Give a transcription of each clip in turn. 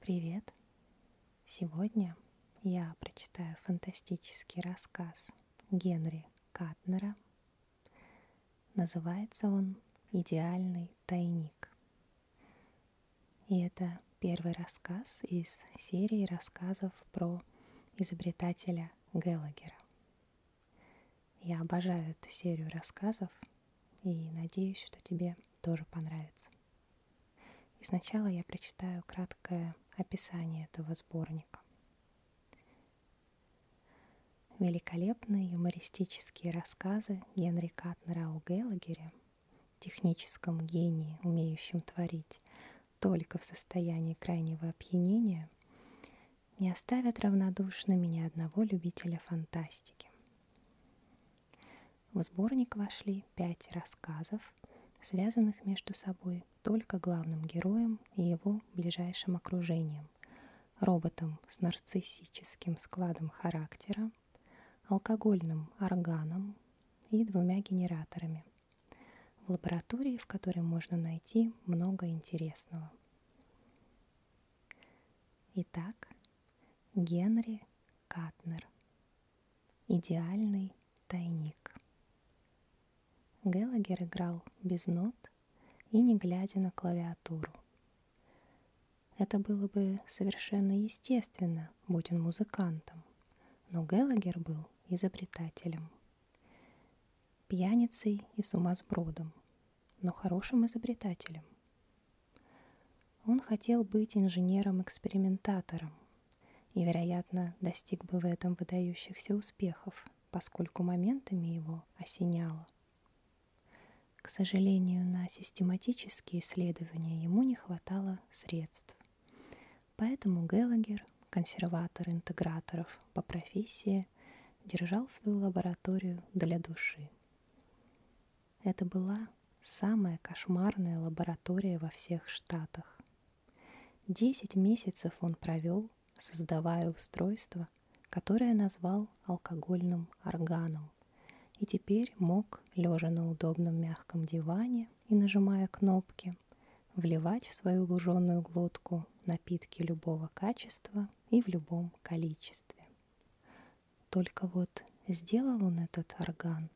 Привет! Сегодня я прочитаю фантастический рассказ Генри Катнера. Называется он «Идеальный тайник». И это первый рассказ из серии рассказов про изобретателя Геллагера. Я обожаю эту серию рассказов и надеюсь, что тебе тоже понравится. И сначала я прочитаю краткое описание этого сборника. Великолепные юмористические рассказы Генри Рау Геллагере, техническом гении, умеющем творить только в состоянии крайнего опьянения, не оставят равнодушными ни одного любителя фантастики. В сборник вошли пять рассказов, связанных между собой только главным героем и его ближайшим окружением, роботом с нарциссическим складом характера, алкогольным органом и двумя генераторами в лаборатории, в которой можно найти много интересного. Итак, Генри Катнер. Идеальный тайник. Геллагер играл без нот и не глядя на клавиатуру, это было бы совершенно естественно, будь он музыкантом, но Геллагер был изобретателем, пьяницей и сумасбродом, но хорошим изобретателем. Он хотел быть инженером-экспериментатором и, вероятно, достиг бы в этом выдающихся успехов, поскольку моментами его осеняло – к сожалению, на систематические исследования ему не хватало средств. Поэтому Геллагер, консерватор интеграторов по профессии, держал свою лабораторию для души. Это была самая кошмарная лаборатория во всех штатах. Десять месяцев он провел, создавая устройство, которое назвал алкогольным органом – и теперь мог, лежа на удобном мягком диване и нажимая кнопки, вливать в свою луженую глотку напитки любого качества и в любом количестве. Только вот сделал он этот орган,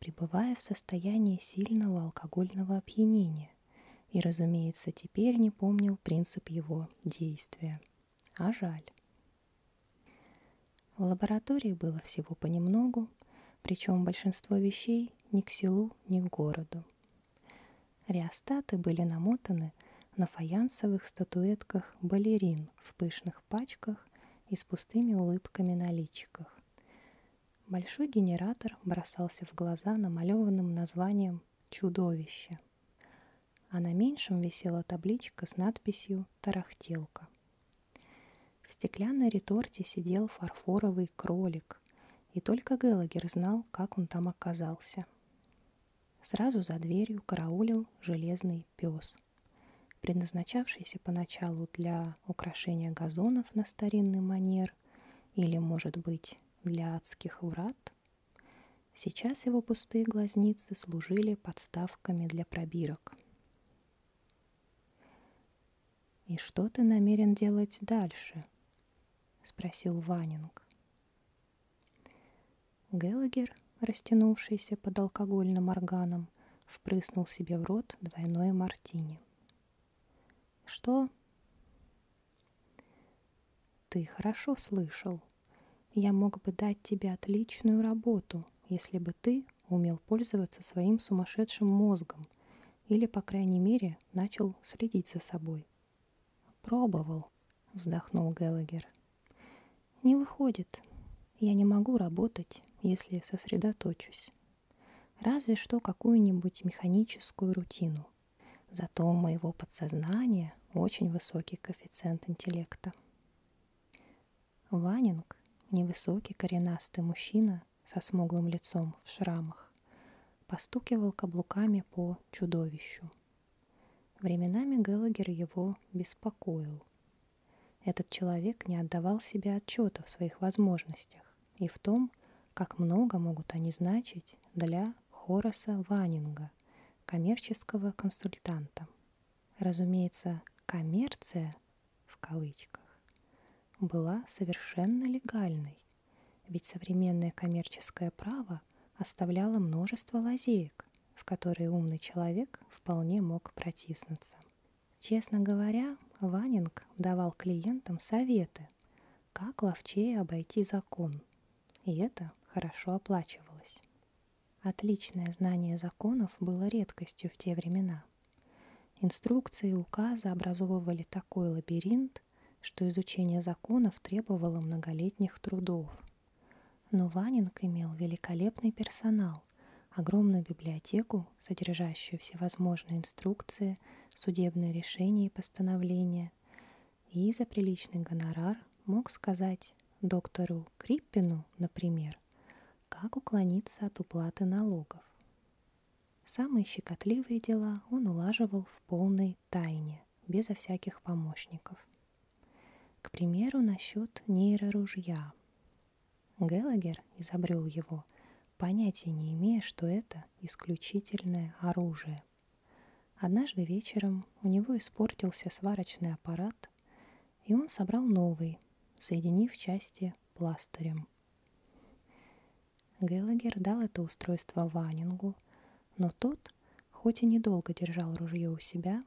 пребывая в состоянии сильного алкогольного опьянения, и, разумеется, теперь не помнил принцип его действия – а жаль. В лаборатории было всего понемногу, причем большинство вещей ни к селу, ни к городу. Реостаты были намотаны на фаянсовых статуэтках балерин в пышных пачках и с пустыми улыбками на личиках. Большой генератор бросался в глаза намалеванным названием «Чудовище» а на меньшем висела табличка с надписью «Тарахтелка». В стеклянной реторте сидел фарфоровый кролик, и только Геллагер знал, как он там оказался. Сразу за дверью караулил железный пес, предназначавшийся поначалу для украшения газонов на старинный манер или, может быть, для адских врат. Сейчас его пустые глазницы границы служили подставками для пробирок. «И что ты намерен делать дальше?» — спросил Ванинг. Геллагер, растянувшийся под алкогольным органом, впрыснул себе в рот двойное мартини. «Что?» «Ты хорошо слышал», я мог бы дать тебе отличную работу, если бы ты умел пользоваться своим сумасшедшим мозгом или, по крайней мере, начал следить за собой. «Пробовал», — вздохнул Геллагер. «Не выходит. Я не могу работать, если сосредоточусь. Разве что какую-нибудь механическую рутину. Зато у моего подсознания очень высокий коэффициент интеллекта». Ванинг, невысокий коренастый мужчина со смуглым лицом в шрамах, постукивал каблуками по чудовищу. Временами Геллагер его беспокоил. Этот человек не отдавал себе отчета в своих возможностях и в том, как много могут они значить для Хораса Ванинга, коммерческого консультанта. Разумеется, коммерция, в кавычках, была совершенно легальной, ведь современное коммерческое право оставляло множество лазеек, в которые умный человек вполне мог протиснуться. Честно говоря, Ванинг давал клиентам советы, как ловчее обойти закон, и это хорошо оплачивалось. Отличное знание законов было редкостью в те времена. Инструкции и указы образовывали такой лабиринт, что изучение законов требовало многолетних трудов. Но Ванинг имел великолепный персонал, огромную библиотеку, содержащую всевозможные инструкции, судебные решения и постановления, и за приличный гонорар мог сказать доктору Криппину, например, Например, как уклониться от уплаты налогов. Самые щекотливые дела он улаживал в полной тайне, безо всяких помощников. К примеру, насчет нейроружья. Геллагер изобрел его, понятия не имея, что это исключительное оружие. Однажды вечером у него испортился сварочный аппарат, и он собрал новый, соединив части пластырем. Геллагер дал это устройство Ванингу, но тот, хоть и недолго держал ружье у себя,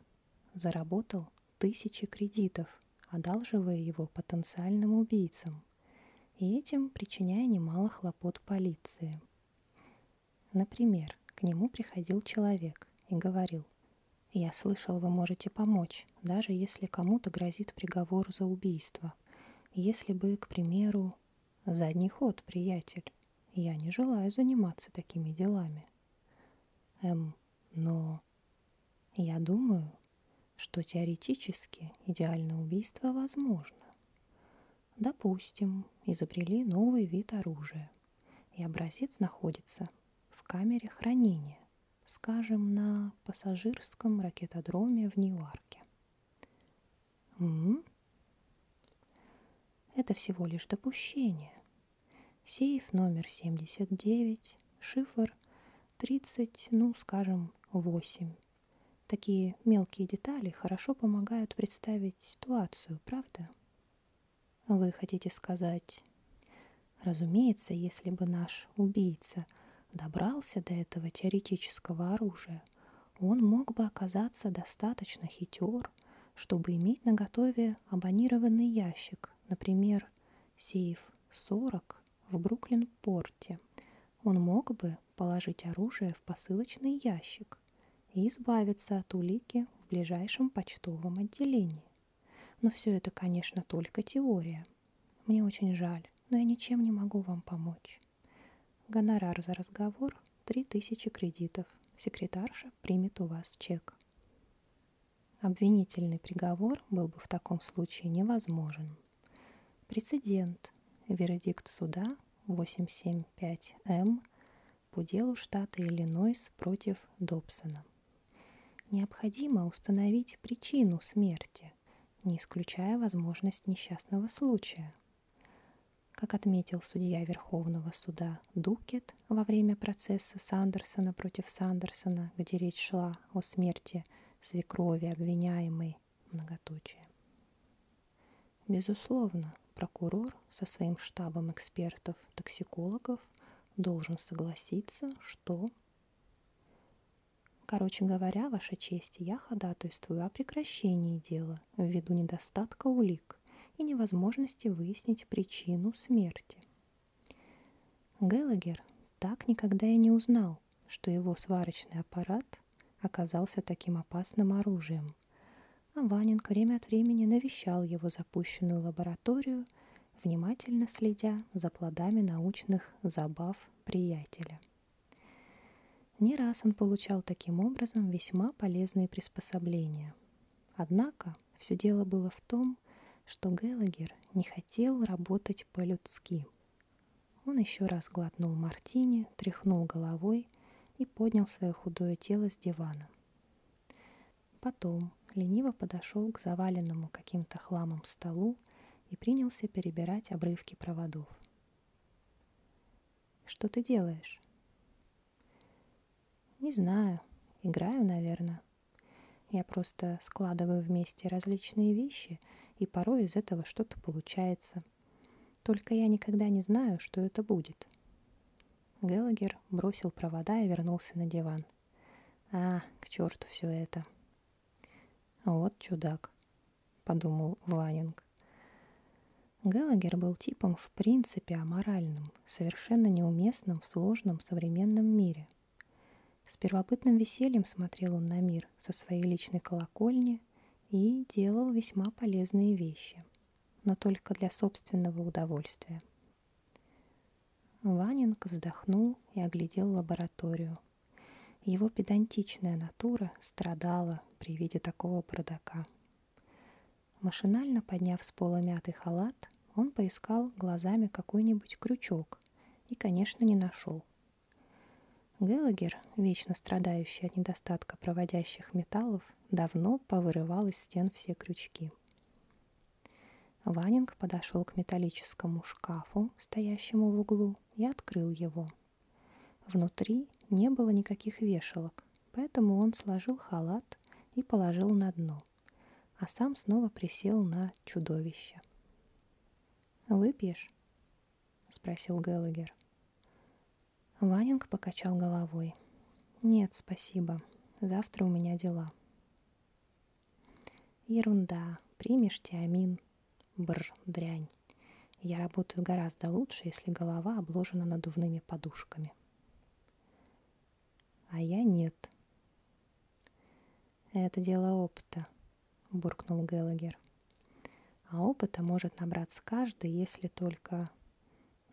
заработал тысячи кредитов, одалживая его потенциальным убийцам и этим причиняя немало хлопот полиции. Например, к нему приходил человек и говорил – я слышал, вы можете помочь, даже если кому-то грозит приговор за убийство. Если бы, к примеру, задний ход, приятель. Я не желаю заниматься такими делами. М. Эм, но я думаю, что теоретически идеальное убийство возможно. Допустим, изобрели новый вид оружия, и образец находится в камере хранения, скажем, на пассажирском ракетодроме в Ньюарке. М? Это всего лишь допущение. Сейф номер 79, шифр 30, ну, скажем, 8. Такие мелкие детали хорошо помогают представить ситуацию, правда? Вы хотите сказать? Разумеется, если бы наш убийца добрался до этого теоретического оружия, он мог бы оказаться достаточно хитер, чтобы иметь на готове абонированный ящик, например, сейф 40 в Бруклин-порте. Он мог бы положить оружие в посылочный ящик и избавиться от улики в ближайшем почтовом отделении. Но все это, конечно, только теория. Мне очень жаль, но я ничем не могу вам помочь. Гонорар за разговор – 3000 кредитов. Секретарша примет у вас чек. Обвинительный приговор был бы в таком случае невозможен. Прецедент. Вердикт суда 875М эм по делу штата Иллинойс против Добсона. Необходимо установить причину смерти, не исключая возможность несчастного случая. Как отметил судья Верховного суда Дукет во время процесса Сандерсона против Сандерсона, где речь шла о смерти свекрови обвиняемой, многоточие. Безусловно, прокурор со своим штабом экспертов-токсикологов должен согласиться, что... Короче говоря, Ваша честь, я ходатайствую о прекращении дела ввиду недостатка улик и невозможности выяснить причину смерти. Геллагер так никогда и не узнал, что его сварочный аппарат оказался таким опасным оружием, а Ванинг время от времени навещал его запущенную лабораторию – внимательно следя за плодами научных забав приятеля. Не раз он получал таким образом весьма полезные приспособления. Однако все дело было в том, что Геллагер не хотел работать по-людски. Он еще раз глотнул мартини, тряхнул головой и поднял свое худое тело с дивана. Потом лениво подошел к заваленному каким-то хламом столу и принялся перебирать обрывки проводов. «Что ты делаешь?» «Не знаю. Играю, наверное. Я просто складываю вместе различные вещи, и порой из этого что-то получается. Только я никогда не знаю, что это будет». Геллагер бросил провода и вернулся на диван – а, к черту все это. Вот чудак, подумал Ванинг. Галагер был типом в принципе аморальным, совершенно неуместным в сложном современном мире. С первобытным весельем смотрел он на мир со своей личной колокольни и делал весьма полезные вещи, но только для собственного удовольствия, Ванинг вздохнул и оглядел лабораторию. Его педантичная натура страдала при виде такого продака. Машинально подняв с пола мятый халат, он поискал глазами какой-нибудь крючок и, конечно, не нашел. Геллагер, вечно страдающий от недостатка проводящих металлов, давно повырывал из стен все крючки. Ванинг подошел к металлическому шкафу, стоящему в углу, и открыл его. Внутри не было никаких вешалок, поэтому он сложил халат и положил на дно, а сам снова присел на чудовище. «Выпьешь?» — спросил Геллагер. Ванинг покачал головой. «Нет, спасибо. Завтра у меня дела». Ерунда, примешь тиамин. Бр, дрянь. Я работаю гораздо лучше, если голова обложена надувными подушками. А я нет. Это дело опыта, буркнул Геллагер. А опыта может набраться каждый, если только...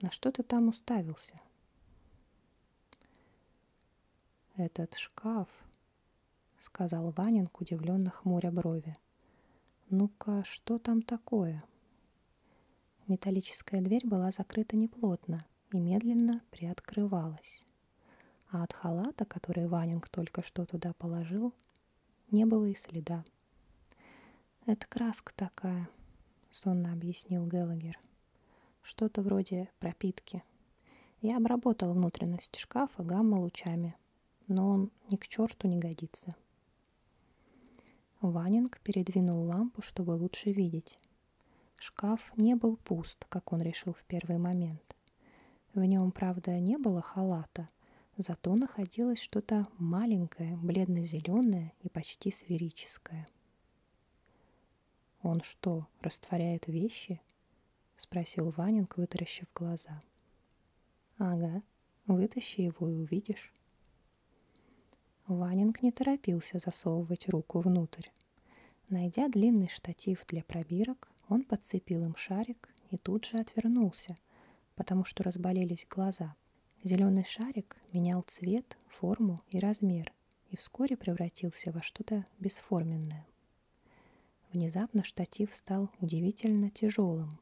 На что ты там уставился? «Этот шкаф», — сказал Ванинг, удивленно хмуря брови. «Ну-ка, что там такое?» Металлическая дверь была закрыта неплотно и медленно приоткрывалась. А от халата, который Ванинг только что туда положил, не было и следа. «Это краска такая», — сонно объяснил Геллагер. Что-то вроде пропитки. Я обработал внутренность шкафа гамма-лучами, но он ни к черту не годится. Ванинг передвинул лампу, чтобы лучше видеть. Шкаф не был пуст, как он решил в первый момент. В нем, правда, не было халата, зато находилось что-то маленькое, бледно-зеленое и почти сферическое. «Он что, растворяет вещи?» — спросил Ванинг, вытаращив глаза. «Ага, вытащи его и увидишь». Ванинг не торопился засовывать руку внутрь. Найдя длинный штатив для пробирок, он подцепил им шарик и тут же отвернулся, потому что разболелись глаза. Зеленый шарик менял цвет, форму и размер, замер и вскоре превратился во что-то бесформенное. Внезапно штатив стал удивительно тяжелым.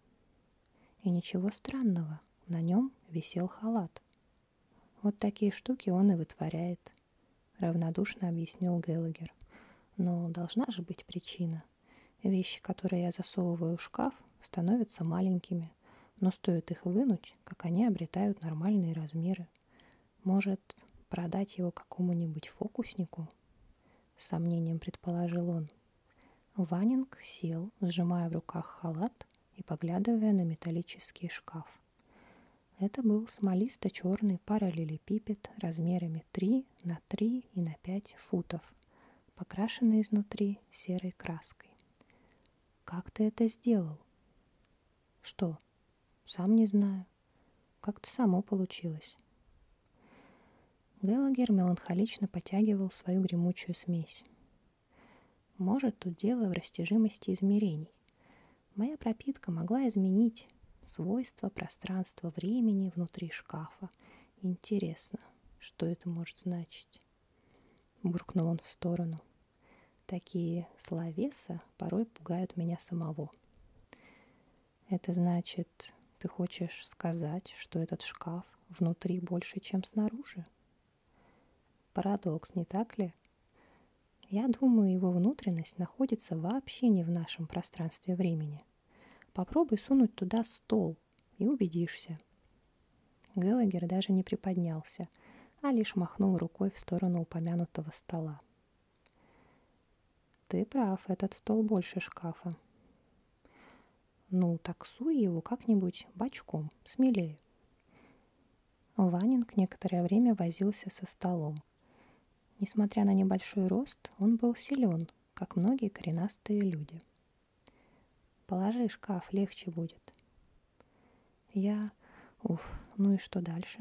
И ничего странного, на нем висел халат. Вот такие штуки он и вытворяет, равнодушно объяснил Геллагер. Но должна же быть причина. Вещи, которые я засовываю в шкаф, становятся маленькими, но стоит их вынуть, как они обретают нормальные размеры может продать его какому-нибудь фокуснику? С сомнением предположил он. Ванинг сел, сжимая в руках халат и поглядывая на металлический шкаф. Это был смолисто-черный параллелепипед размерами 3 на 3 и на 5 футов, покрашенный изнутри серой краской. «Как ты это сделал?» «Что, сам не знаю. Как-то само получилось. Геллагер меланхолично потягивал свою гремучую смесь. Может, тут дело в растяжимости измерений. Моя пропитка могла изменить свойства пространства времени внутри шкафа. Интересно, что это может значить? Буркнул он в сторону. Такие словеса порой пугают меня самого. Это значит, ты хочешь сказать, что этот шкаф внутри больше, чем снаружи? Парадокс, не так ли? Я думаю, его внутренность находится вообще не в нашем пространстве времени. Попробуй сунуть туда стол и убедишься. Геллагер даже не приподнялся, а лишь махнул рукой в сторону упомянутого стола. Ты прав, этот стол больше шкафа. Ну, таксуй его как-нибудь бочком, смелее. Ванинг некоторое время возился со столом. Несмотря на небольшой рост, он был силен, как многие коренастые люди. Положи шкаф, легче будет. Я... Уф, ну и что дальше?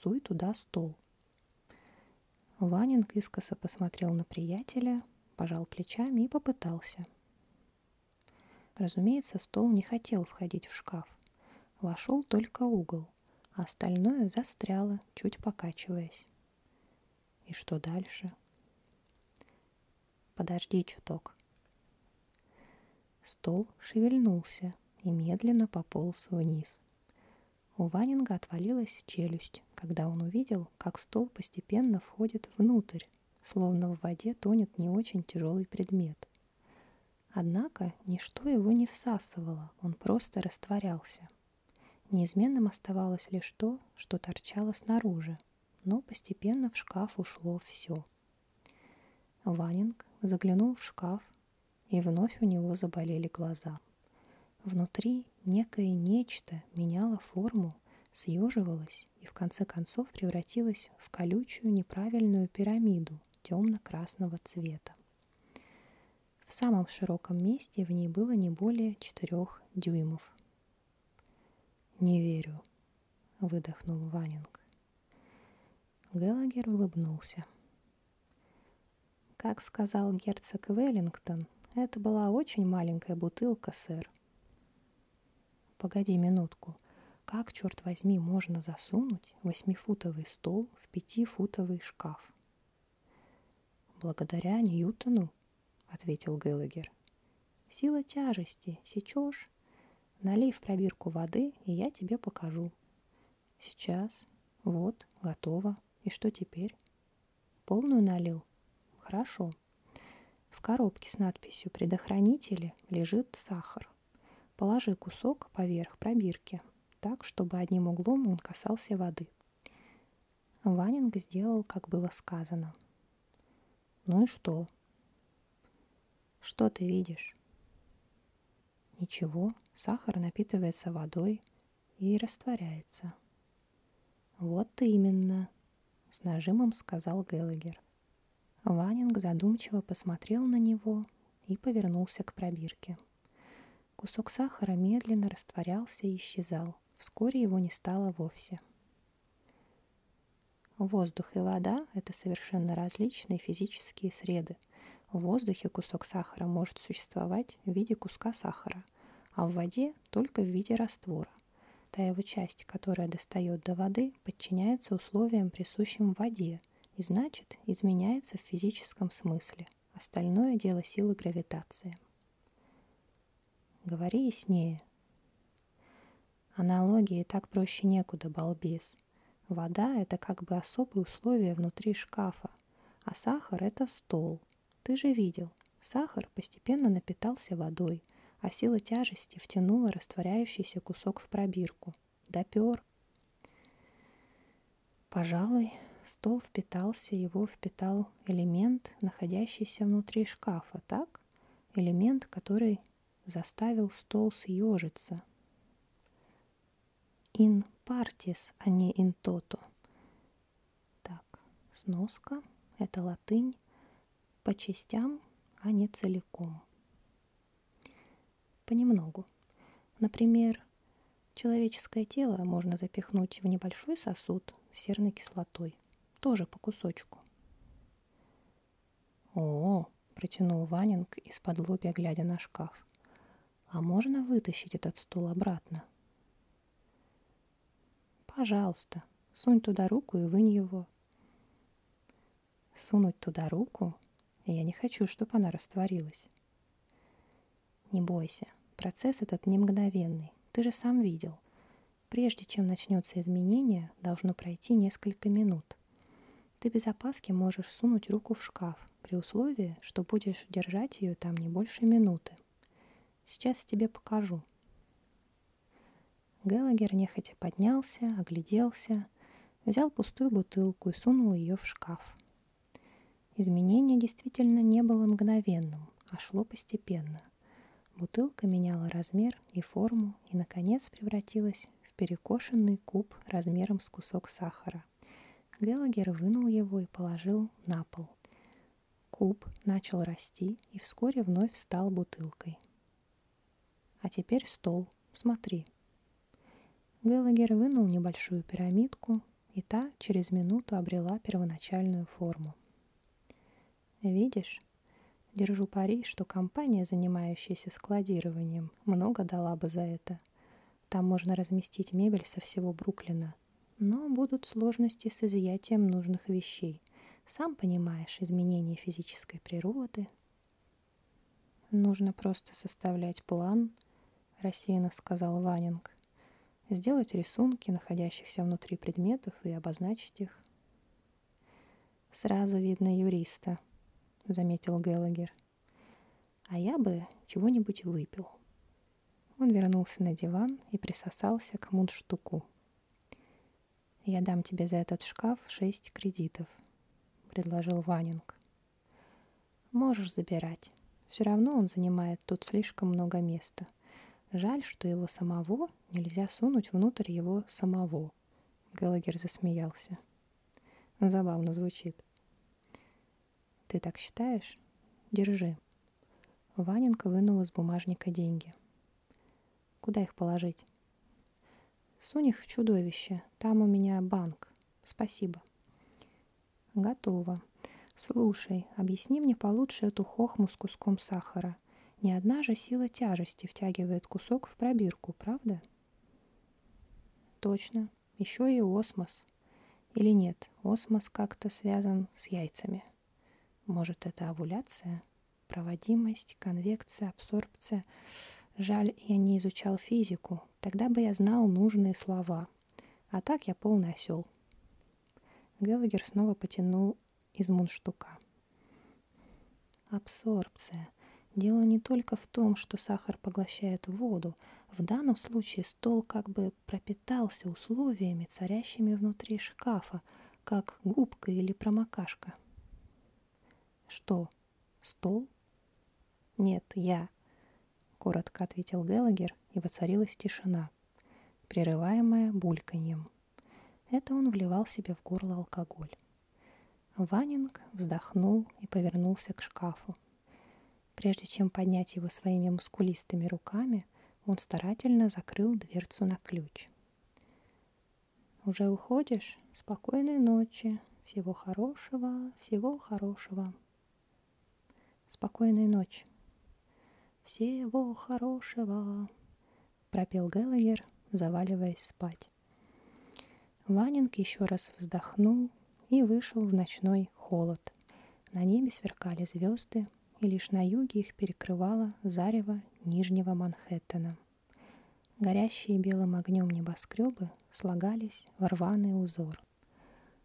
Суй туда стол. Ванинг искоса посмотрел на приятеля, пожал плечами и попытался. Разумеется, стол не хотел входить в шкаф. Вошел только угол, а остальное застряло, чуть покачиваясь. И что дальше? Подожди чуток, Стол шевельнулся и медленно пополз вниз. У Ванинга отвалилась челюсть, когда он увидел, как стол постепенно входит внутрь, словно в воде тонет не очень тяжелый предмет. Однако ничто его не всасывало, он просто растворялся. Неизменным оставалось лишь то, что торчало снаружи, но постепенно в шкаф ушло все. Ванинг заглянул в шкаф, и вновь у него заболели глаза. Внутри некое нечто меняло форму, съеживалось и в конце концов превратилось в колючую неправильную пирамиду темно-красного цвета. В самом широком месте в ней было не более четырех дюймов. «Не верю», — выдохнул Ванинг. Геллагер улыбнулся. Как сказал герцог Веллингтон, это была очень маленькая бутылка, сэр. Погоди минутку. Как, черт возьми, можно засунуть восьмифутовый стол в пятифутовый шкаф? Благодаря Ньютону, ответил Геллагер. Сила тяжести, сечешь? Налей в пробирку воды, и я тебе покажу. Сейчас. Вот, готово. И что теперь? Полную налил? Хорошо. В коробке с надписью «Предохранители» лежит сахар. Положи кусок поверх пробирки, так, чтобы одним углом он касался воды. Ванинг сделал, как было сказано. «Ну и что?» «Что ты видишь?» Ничего, сахар напитывается водой и растворяется. Вот именно, с нажимом сказал Геллагер. Ванинг задумчиво посмотрел на него и повернулся к пробирке. Кусок сахара медленно растворялся и исчезал. Вскоре его не стало вовсе. Воздух и вода – это совершенно различные физические среды, в воздухе кусок сахара может существовать в виде куска сахара, а в воде только в виде раствора. Та его часть, которая достает до воды, подчиняется условиям, присущим воде, и значит изменяется в физическом смысле. Остальное дело силы гравитации. Говори яснее. Аналогии так проще некуда, балбес. Вода – это как бы особые условия внутри шкафа, а сахар – это стол. Ты же видел, сахар постепенно напитался водой, а сила тяжести втянула растворяющийся кусок в пробирку. Допер. Пожалуй, стол впитался, его впитал элемент, находящийся внутри шкафа, так? Элемент, который заставил стол съежиться in partis, а не in toto. Так, сноска, это латынь, по частям, а не целиком. Понемногу. Например, человеческое тело можно запихнуть в небольшой сосуд с серной кислотой, тоже по кусочку. «О, — протянул Ванинг из-под лобья, глядя на шкаф, — а можно вытащить этот стул обратно?» «Пожалуйста, сунь туда руку и вынь его». «Сунуть туда руку? Я не хочу, чтобы она растворилась». «Не бойся, процесс этот не мгновенный, ты же сам видел». Прежде чем начнется изменение, должно пройти несколько минут. Ты без опаски можешь сунуть руку в шкаф, при условии, что будешь держать ее там не больше минуты. Сейчас тебе покажу. Геллагер нехотя поднялся, огляделся, взял пустую бутылку и сунул ее в шкаф. Изменение действительно не было мгновенным, а шло постепенно. Бутылка меняла размер и форму и, наконец, превратилась в перекошенный куб размером с кусок сахара. Геллагер вынул его и положил на пол. Куб начал расти и вскоре вновь стал бутылкой. «А теперь стол. Смотри». Геллагер вынул небольшую пирамидку, и та через минуту обрела первоначальную форму. «Видишь?» Держу пари, что компания, занимающаяся складированием, много дала бы за это. Там можно разместить мебель со всего Бруклина. Но будут сложности с изъятием нужных вещей. Сам понимаешь, изменения физической природы. Нужно просто составлять план, рассеянно сказал Ванинг. Сделать рисунки находящихся внутри предметов и обозначить их. Сразу видно юриста, заметил Геллагер. А я бы чего-нибудь выпил. Он вернулся на диван и присосался к мундштуку. «Я дам тебе за этот шкаф шесть кредитов», — предложил Ванинг. «Можешь забирать. Все равно он занимает тут слишком много места. Жаль, что его самого нельзя сунуть внутрь его самого», — Геллагер засмеялся. Забавно звучит. Ты так считаешь? Держи. Ваненко вынул из бумажника деньги. Куда их положить? Сунь их в чудовище. Там у меня банк. Спасибо. Готово. Слушай, объясни мне получше эту хохму с куском сахара. Ни одна же сила тяжести втягивает кусок в пробирку, правда? Точно еще и осмос. Или нет, осмос как-то связан с яйцами. Может, это овуляция? Проводимость, конвекция, абсорбция. Жаль, я не изучал физику. Тогда бы я знал нужные слова. А так я полный осел. Геллагер снова потянул из мундштука. Абсорбция. Дело не только в том, что сахар поглощает воду. В данном случае стол как бы пропитался условиями, царящими внутри шкафа, как губка или промокашка. «Что, стол?» «Нет, я», — коротко ответил Геллагер, и воцарилась тишина, прерываемая бульканьем. Это он вливал себе в горло алкоголь. Ванинг вздохнул и повернулся к шкафу, Прежде чем поднять его своими мускулистыми руками, он старательно закрыл дверцу на ключ. «Уже уходишь? Спокойной ночи. Всего хорошего, всего хорошего. Спокойной ночи. Всего хорошего», — пропел Геллагер, заваливаясь спать спать. Ванинг еще раз вздохнул и вышел в ночной холод. На небе сверкали звезды, и лишь на юге их перекрывало зарево Нижнего Манхэттена. Горящие белым огнем небоскребы слагались в рваный узор.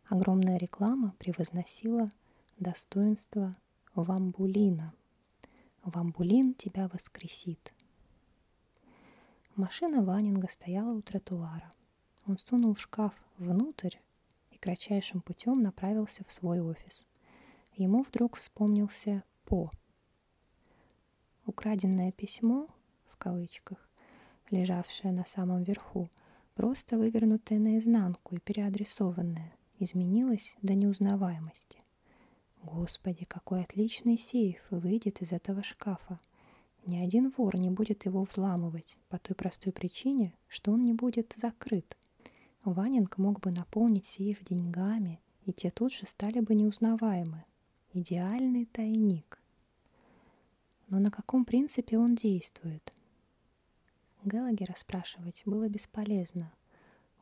Огромная реклама превозносила достоинство вамбулина. Вамбулин тебя воскресит. Машина Ванинга стояла у тротуара – он сунул шкаф внутрь и кратчайшим путем направился в свой офис. Ему вдруг вспомнился По. Украденное письмо, в кавычках, лежавшее на самом верху, просто вывернутое наизнанку и переадресованное, изменилось до неузнаваемости. Господи, какой отличный сейф выйдет из этого шкафа. Ни один вор не будет его взламывать по той простой причине, что он не будет закрыт. Ванинг мог бы наполнить сейф деньгами, и те тут же стали бы неузнаваемы. Идеальный тайник. Но на каком принципе он действует? Геллагера спрашивать было бесполезно.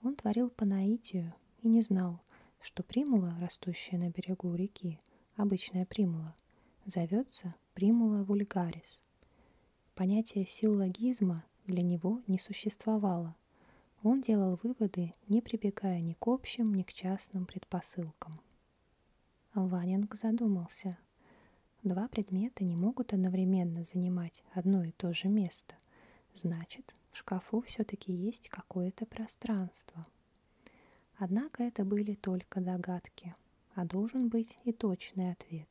Он творил по наитию и не знал, что примула, растущая на берегу реки, обычная примула, зовется примула вульгарис. Понятие силлогизма для него не существовало. Он делал выводы, не прибегая ни к общим, ни к частным предпосылкам. Ванинг задумался. Два предмета не могут одновременно занимать одно и то же место. Значит, в шкафу все-таки есть какое-то пространство. Однако это были только догадки, а должен быть и точный ответ,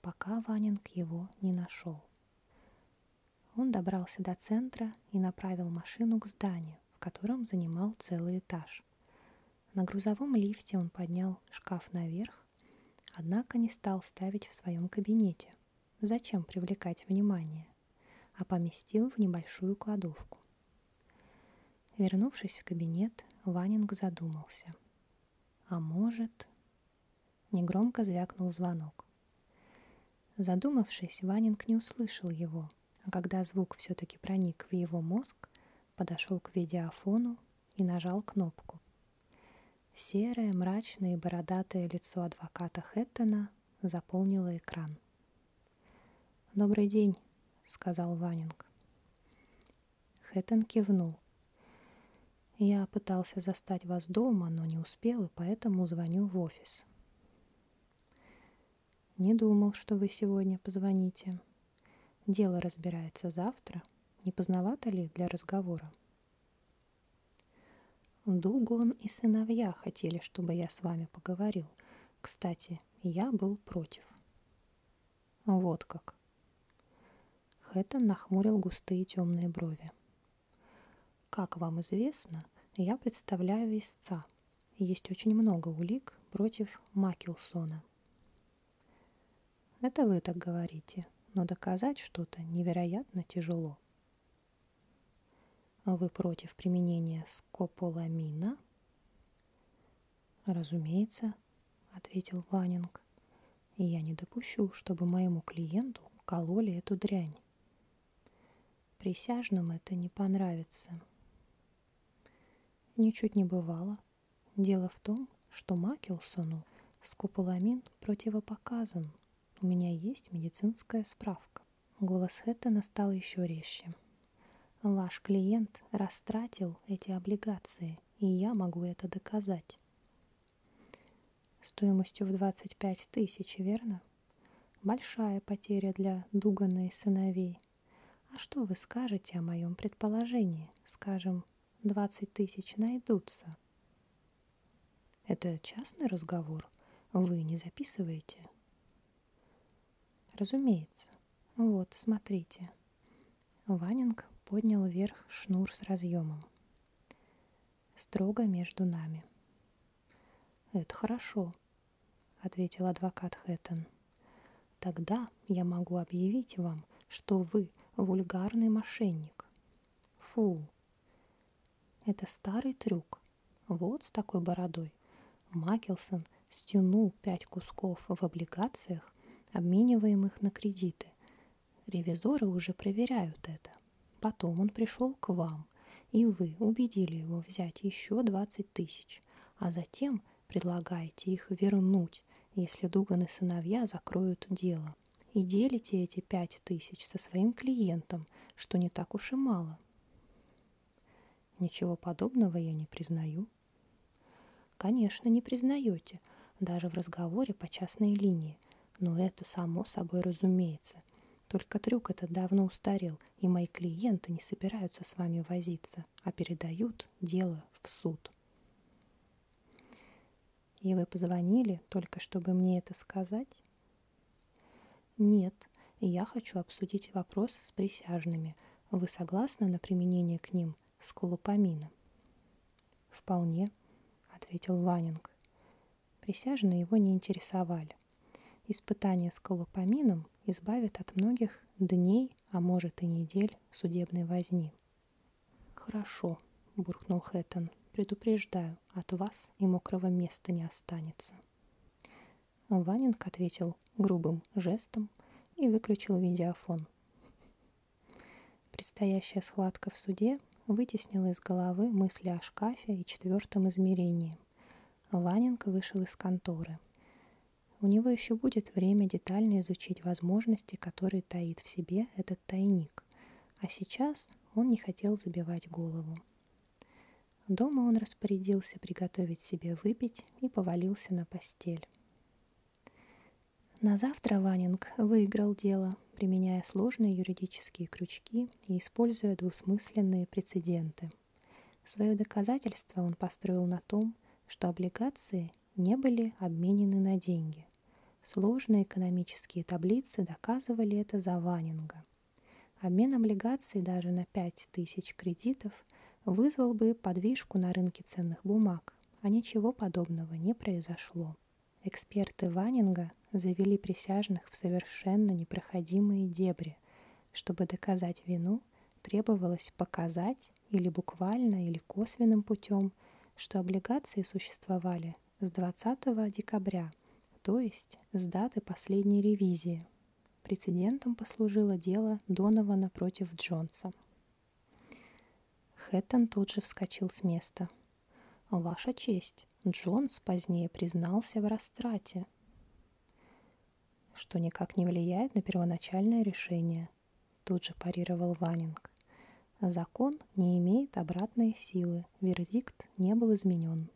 пока Ванинг его не нашел. Он добрался до центра и направил машину к зданию, в котором занимал целый этаж. На грузовом лифте он поднял шкаф наверх, однако не стал ставить в своем кабинете. Зачем привлекать внимание? А поместил в небольшую кладовку. Вернувшись в кабинет, Ванинг задумался. А может... Негромко звякнул звонок. Задумавшись, Ванинг не услышал его, а когда звук все-таки проник в его мозг, подошел к видеофону и нажал кнопку. Серое, мрачное и бородатое лицо адвоката Хэттона заполнило экран. «Добрый день», — сказал Ванинг. Хэттон кивнул. «Я пытался застать вас дома, но не успел, и поэтому звоню в офис». «Не думал, что вы сегодня позвоните. Дело разбирается завтра. Не поздновато ли для разговора?» Дугон и сыновья хотели, чтобы я с вами поговорил. Кстати, кстати, я был против. Вот как. Хэттон нахмурил густые темные брови. Как вам известно, я представляю истца. Есть очень много улик против Макилсона. Это вы так говорите, но доказать что-то невероятно тяжело. Вы против применения скополамина? «Разумеется», — ответил Ванинг. И «Я не допущу, чтобы моему клиенту кололи эту дрянь. Присяжным это не понравится». Ничуть не бывало. Дело в том, что Макелсону скополамин противопоказан. У меня есть медицинская справка. Голос Хэттона стал еще резче. «Ваш клиент растратил эти облигации, и я могу это доказать». «Стоимостью в 25 тысяч, верно?» «Большая потеря для Дугана и сыновей. А что вы скажете о моем предположении? Скажем, 20 тысяч найдутся». «Это частный разговор? Вы не записываете?» Разумеется. Вот, смотрите. Ванинг поднял вверх шнур с разъемом. Строго между нами. Это хорошо, ответил адвокат Хэттон. Тогда я могу объявить вам, что вы вульгарный мошенник. Фу. Это старый трюк. Вот с такой бородой Макелсон стянул пять кусков в облигациях, обмениваемых на кредиты. Ревизоры уже проверяют это. Потом он пришел к вам, и вы убедили его взять еще 20 тысяч, а затем предлагаете их вернуть, если Дуган и сыновья закроют дело. И делите эти 5 тысяч со своим клиентом, что не так уж и мало. Ничего подобного я не признаю. Конечно, не признаете, даже в разговоре по частной линии, но это само собой разумеется. Только трюк этот давно устарел, и мои клиенты не собираются с вами возиться, а передают дело в суд. И вы позвонили только, чтобы мне это сказать? Нет, я хочу обсудить вопрос с присяжными – вы согласны на применение к ним скулопамина? Вполне, ответил Ванинг. Присяжные его не интересовали. Испытание скалопамином избавит от многих дней, а может и недель судебной возни. Хорошо, буркнул Хэттон. Предупреждаю, от вас и мокрого места не останется. Ванинг ответил грубым жестом и выключил видеофон. Предстоящая схватка в суде вытеснила из головы мысли о шкафе и четвертом измерении. Ванинг вышел из конторы. У него еще будет время детально изучить возможности, которые таит в себе этот тайник. А сейчас он не хотел забивать голову. Дома он распорядился приготовить себе выпить и повалился на постель. На завтра Ванинг выиграл дело, применяя сложные юридические крючки и используя двусмысленные прецеденты. Свое доказательство он построил на том, что облигации не были обменены на деньги. Сложные экономические таблицы доказывали это за Ванинга. Обмен облигаций даже на 5000 кредитов – вызвал бы подвижку на рынке ценных бумаг, а ничего подобного не произошло. Эксперты Ванинга завели присяжных в совершенно непроходимые дебри. Чтобы доказать вину, требовалось показать или буквально, или косвенным путем, что облигации существовали с 20 декабря, то есть с даты последней ревизии, Прецедентом послужило дело Донована против Джонса. Хэттон тут же вскочил с места. «Ваша честь, Джонс позднее признался в растрате», что никак не влияет на первоначальное решение, тут же парировал Ванинг. Закон не имеет обратной силы, вердикт не был изменен.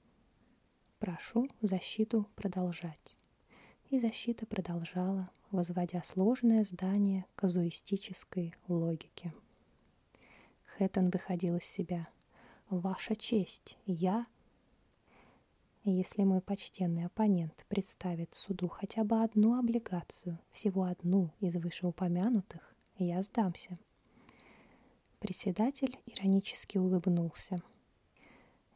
Прошу защиту продолжать. И защита продолжала, возводя сложное здание казуистической логики. Хэттон выходил из себя. «Ваша честь, я...» Если мой почтенный оппонент представит суду хотя бы одну облигацию, всего одну из вышеупомянутых, я сдамся. Председатель иронически улыбнулся.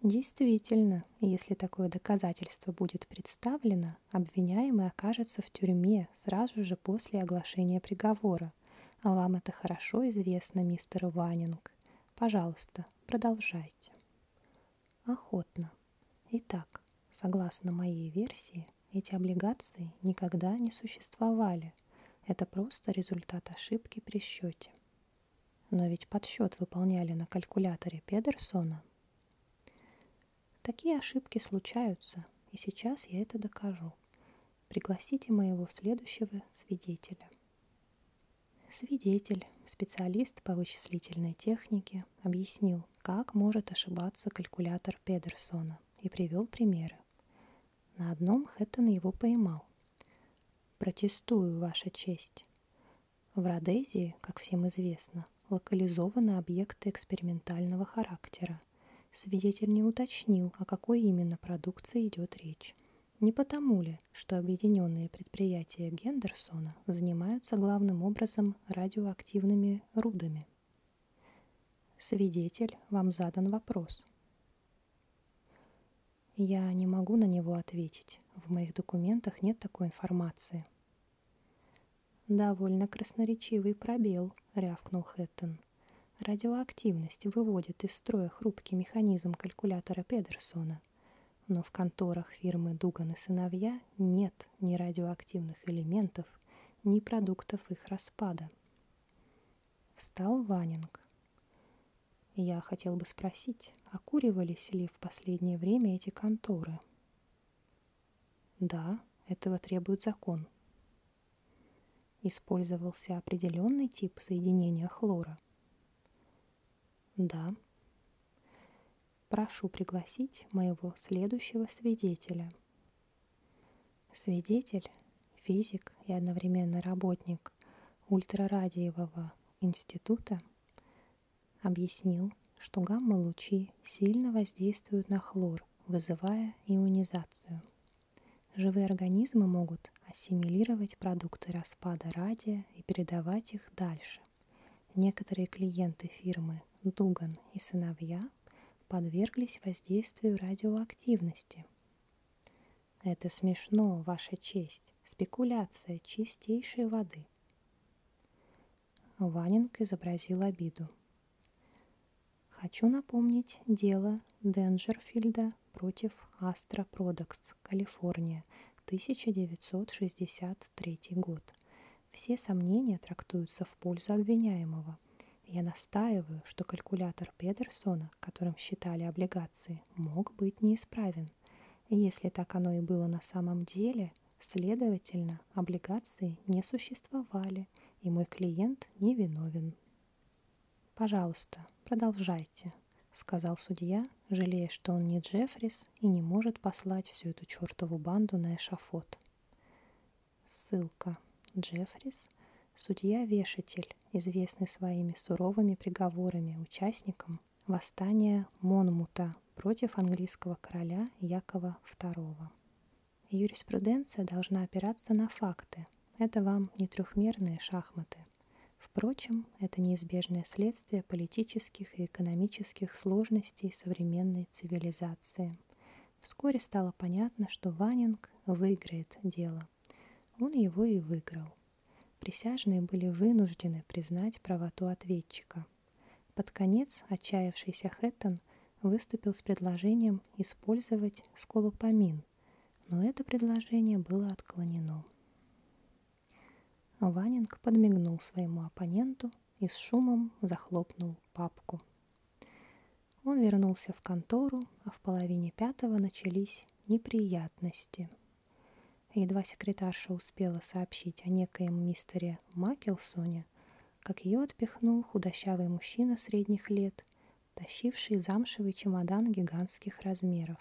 Действительно, если такое доказательство будет представлено, обвиняемый окажется в тюрьме сразу же после оглашения приговора. А вам это хорошо известно, мистер Ванинг. Пожалуйста, продолжайте. Охотно. Итак, согласно моей версии, эти облигации никогда не существовали. Это просто результат ошибки при счете. Но ведь подсчет выполняли на калькуляторе Педерсона. Такие ошибки случаются, и сейчас я это докажу. Пригласите моего следующего свидетеля. Свидетель, специалист по вычислительной технике, объяснил, как может ошибаться калькулятор Педерсона, и привел примеры. На одном Хэттон его поймал. «Протестую, Ваша честь. В Родезии, как всем известно, локализованы объекты экспериментального характера. Свидетель не уточнил, о какой именно продукции идет речь. Не потому ли, что объединенные предприятия Гендерсона занимаются главным образом радиоактивными рудами? Свидетель, вам задан вопрос. Я не могу на него ответить. В моих документах нет такой информации. Довольно красноречивый пробел, рявкнул Хэттон. Радиоактивность выводит из строя хрупкий механизм калькулятора Педерсона. Но в конторах фирмы Дуган и сыновья нет ни радиоактивных элементов, ни продуктов их распада. Встал Ванинг. Я хотел бы спросить, окуривались ли в последнее время эти конторы? Да, этого требует закон. Использовался определенный тип соединения хлора. Да. Прошу пригласить моего следующего свидетеля. Свидетель – физик и одновременно работник ультрарадиевого института Объяснил, что гамма-лучи сильно воздействуют на хлор, вызывая ионизацию. Живые организмы могут ассимилировать продукты распада радия и передавать их дальше. Некоторые клиенты фирмы Дуган и сыновья подверглись воздействию радиоактивности. Это смешно, Ваша честь. Спекуляция чистейшей воды мной. Ванинг изобразил обиду. Хочу напомнить дело Денджерфильда против Astra Products, Калифорния, 1963 год. Все сомнения трактуются в пользу обвиняемого. Я настаиваю, что калькулятор Педерсона, которым считали облигации, мог быть неисправен обязан. Если так оно и было на самом деле, следовательно, облигации не существовали, и мой клиент не виновен. «Пожалуйста, продолжайте», — сказал судья, жалея, что он не Джеффрис и не может послать всю эту чертову банду на эшафот. Ссылка. Джеффрис — судья-вешатель, известный своими суровыми приговорами участникам, восстание Монмута против английского короля Якова II. Юриспруденция должна опираться на факты. Это вам не трехмерные шахматы. Впрочем, это неизбежное следствие политических и экономических сложностей современной цивилизации. Вскоре стало понятно, что Ванинг выиграет дело. Он его и выиграл. Присяжные были вынуждены признать правоту ответчика. Под конец отчаявшийся Хэттон выступил с предложением использовать сколопамин, но это предложение было отклонено. Ванинг подмигнул своему оппоненту и с шумом захлопнул папку. Он вернулся в контору, а в половине пятого начались неприятности – Едва секретарша успела сообщить о некоем мистере Макелсоне, как ее отпихнул худощавый мужчина средних лет, тащивший замшевый чемодан гигантских размеров.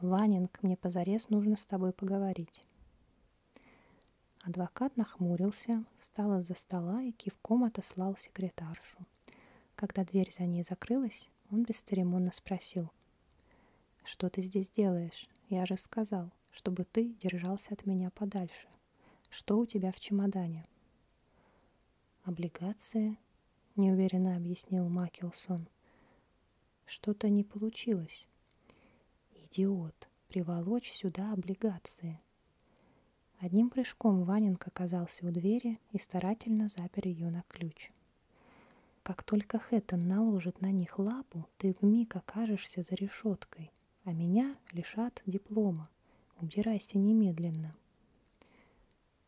«Ванинг, мне позарез нужно с тобой поговорить». Адвокат нахмурился, встал из-за стола и кивком отослал секретаршу. Когда дверь за ней закрылась, он бесцеремонно спросил. «Что ты здесь делаешь? Я же сказал, чтобы ты держался от меня подальше. Что у тебя в чемодане?» «Облигации», — неуверенно объяснил Макелсон. «Что-то не получилось». «Идиот, приволочь сюда облигации», — Одним прыжком Ваненко оказался у двери и старательно запер ее на ключ. Как только Хэттон наложит на них лапу, ты вмиг окажешься за решеткой, а меня лишат диплома. Убирайся немедленно.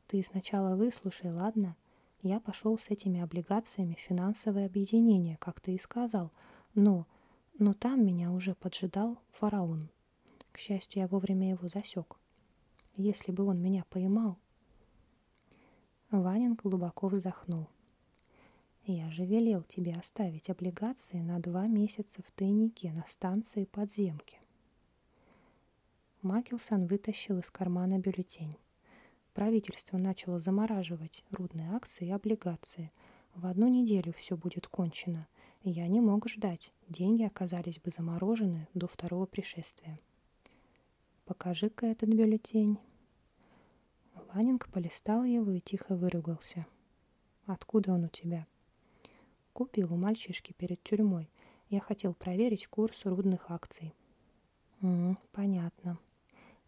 Ты сначала выслушай, ладно? Я пошел с этими облигациями в финансовое объединение, как ты и сказал, но... Но там меня уже поджидал фараон. К счастью, я вовремя его засек. Если бы он меня поймал... Ванин глубоко вздохнул. «Я же велел тебе оставить облигации на два месяца в тайнике на станции подземки». Макелсон вытащил из кармана бюллетень. Правительство начало замораживать рудные акции и облигации. В одну неделю все будет кончено. Я не мог ждать. Деньги оказались бы заморожены до второго пришествия. Покажи-ка этот бюллетень. Ланинг полистал его и тихо выругался. Откуда он у тебя? Купил у мальчишки перед тюрьмой. Я хотел проверить курс рудных акций. М -м, понятно.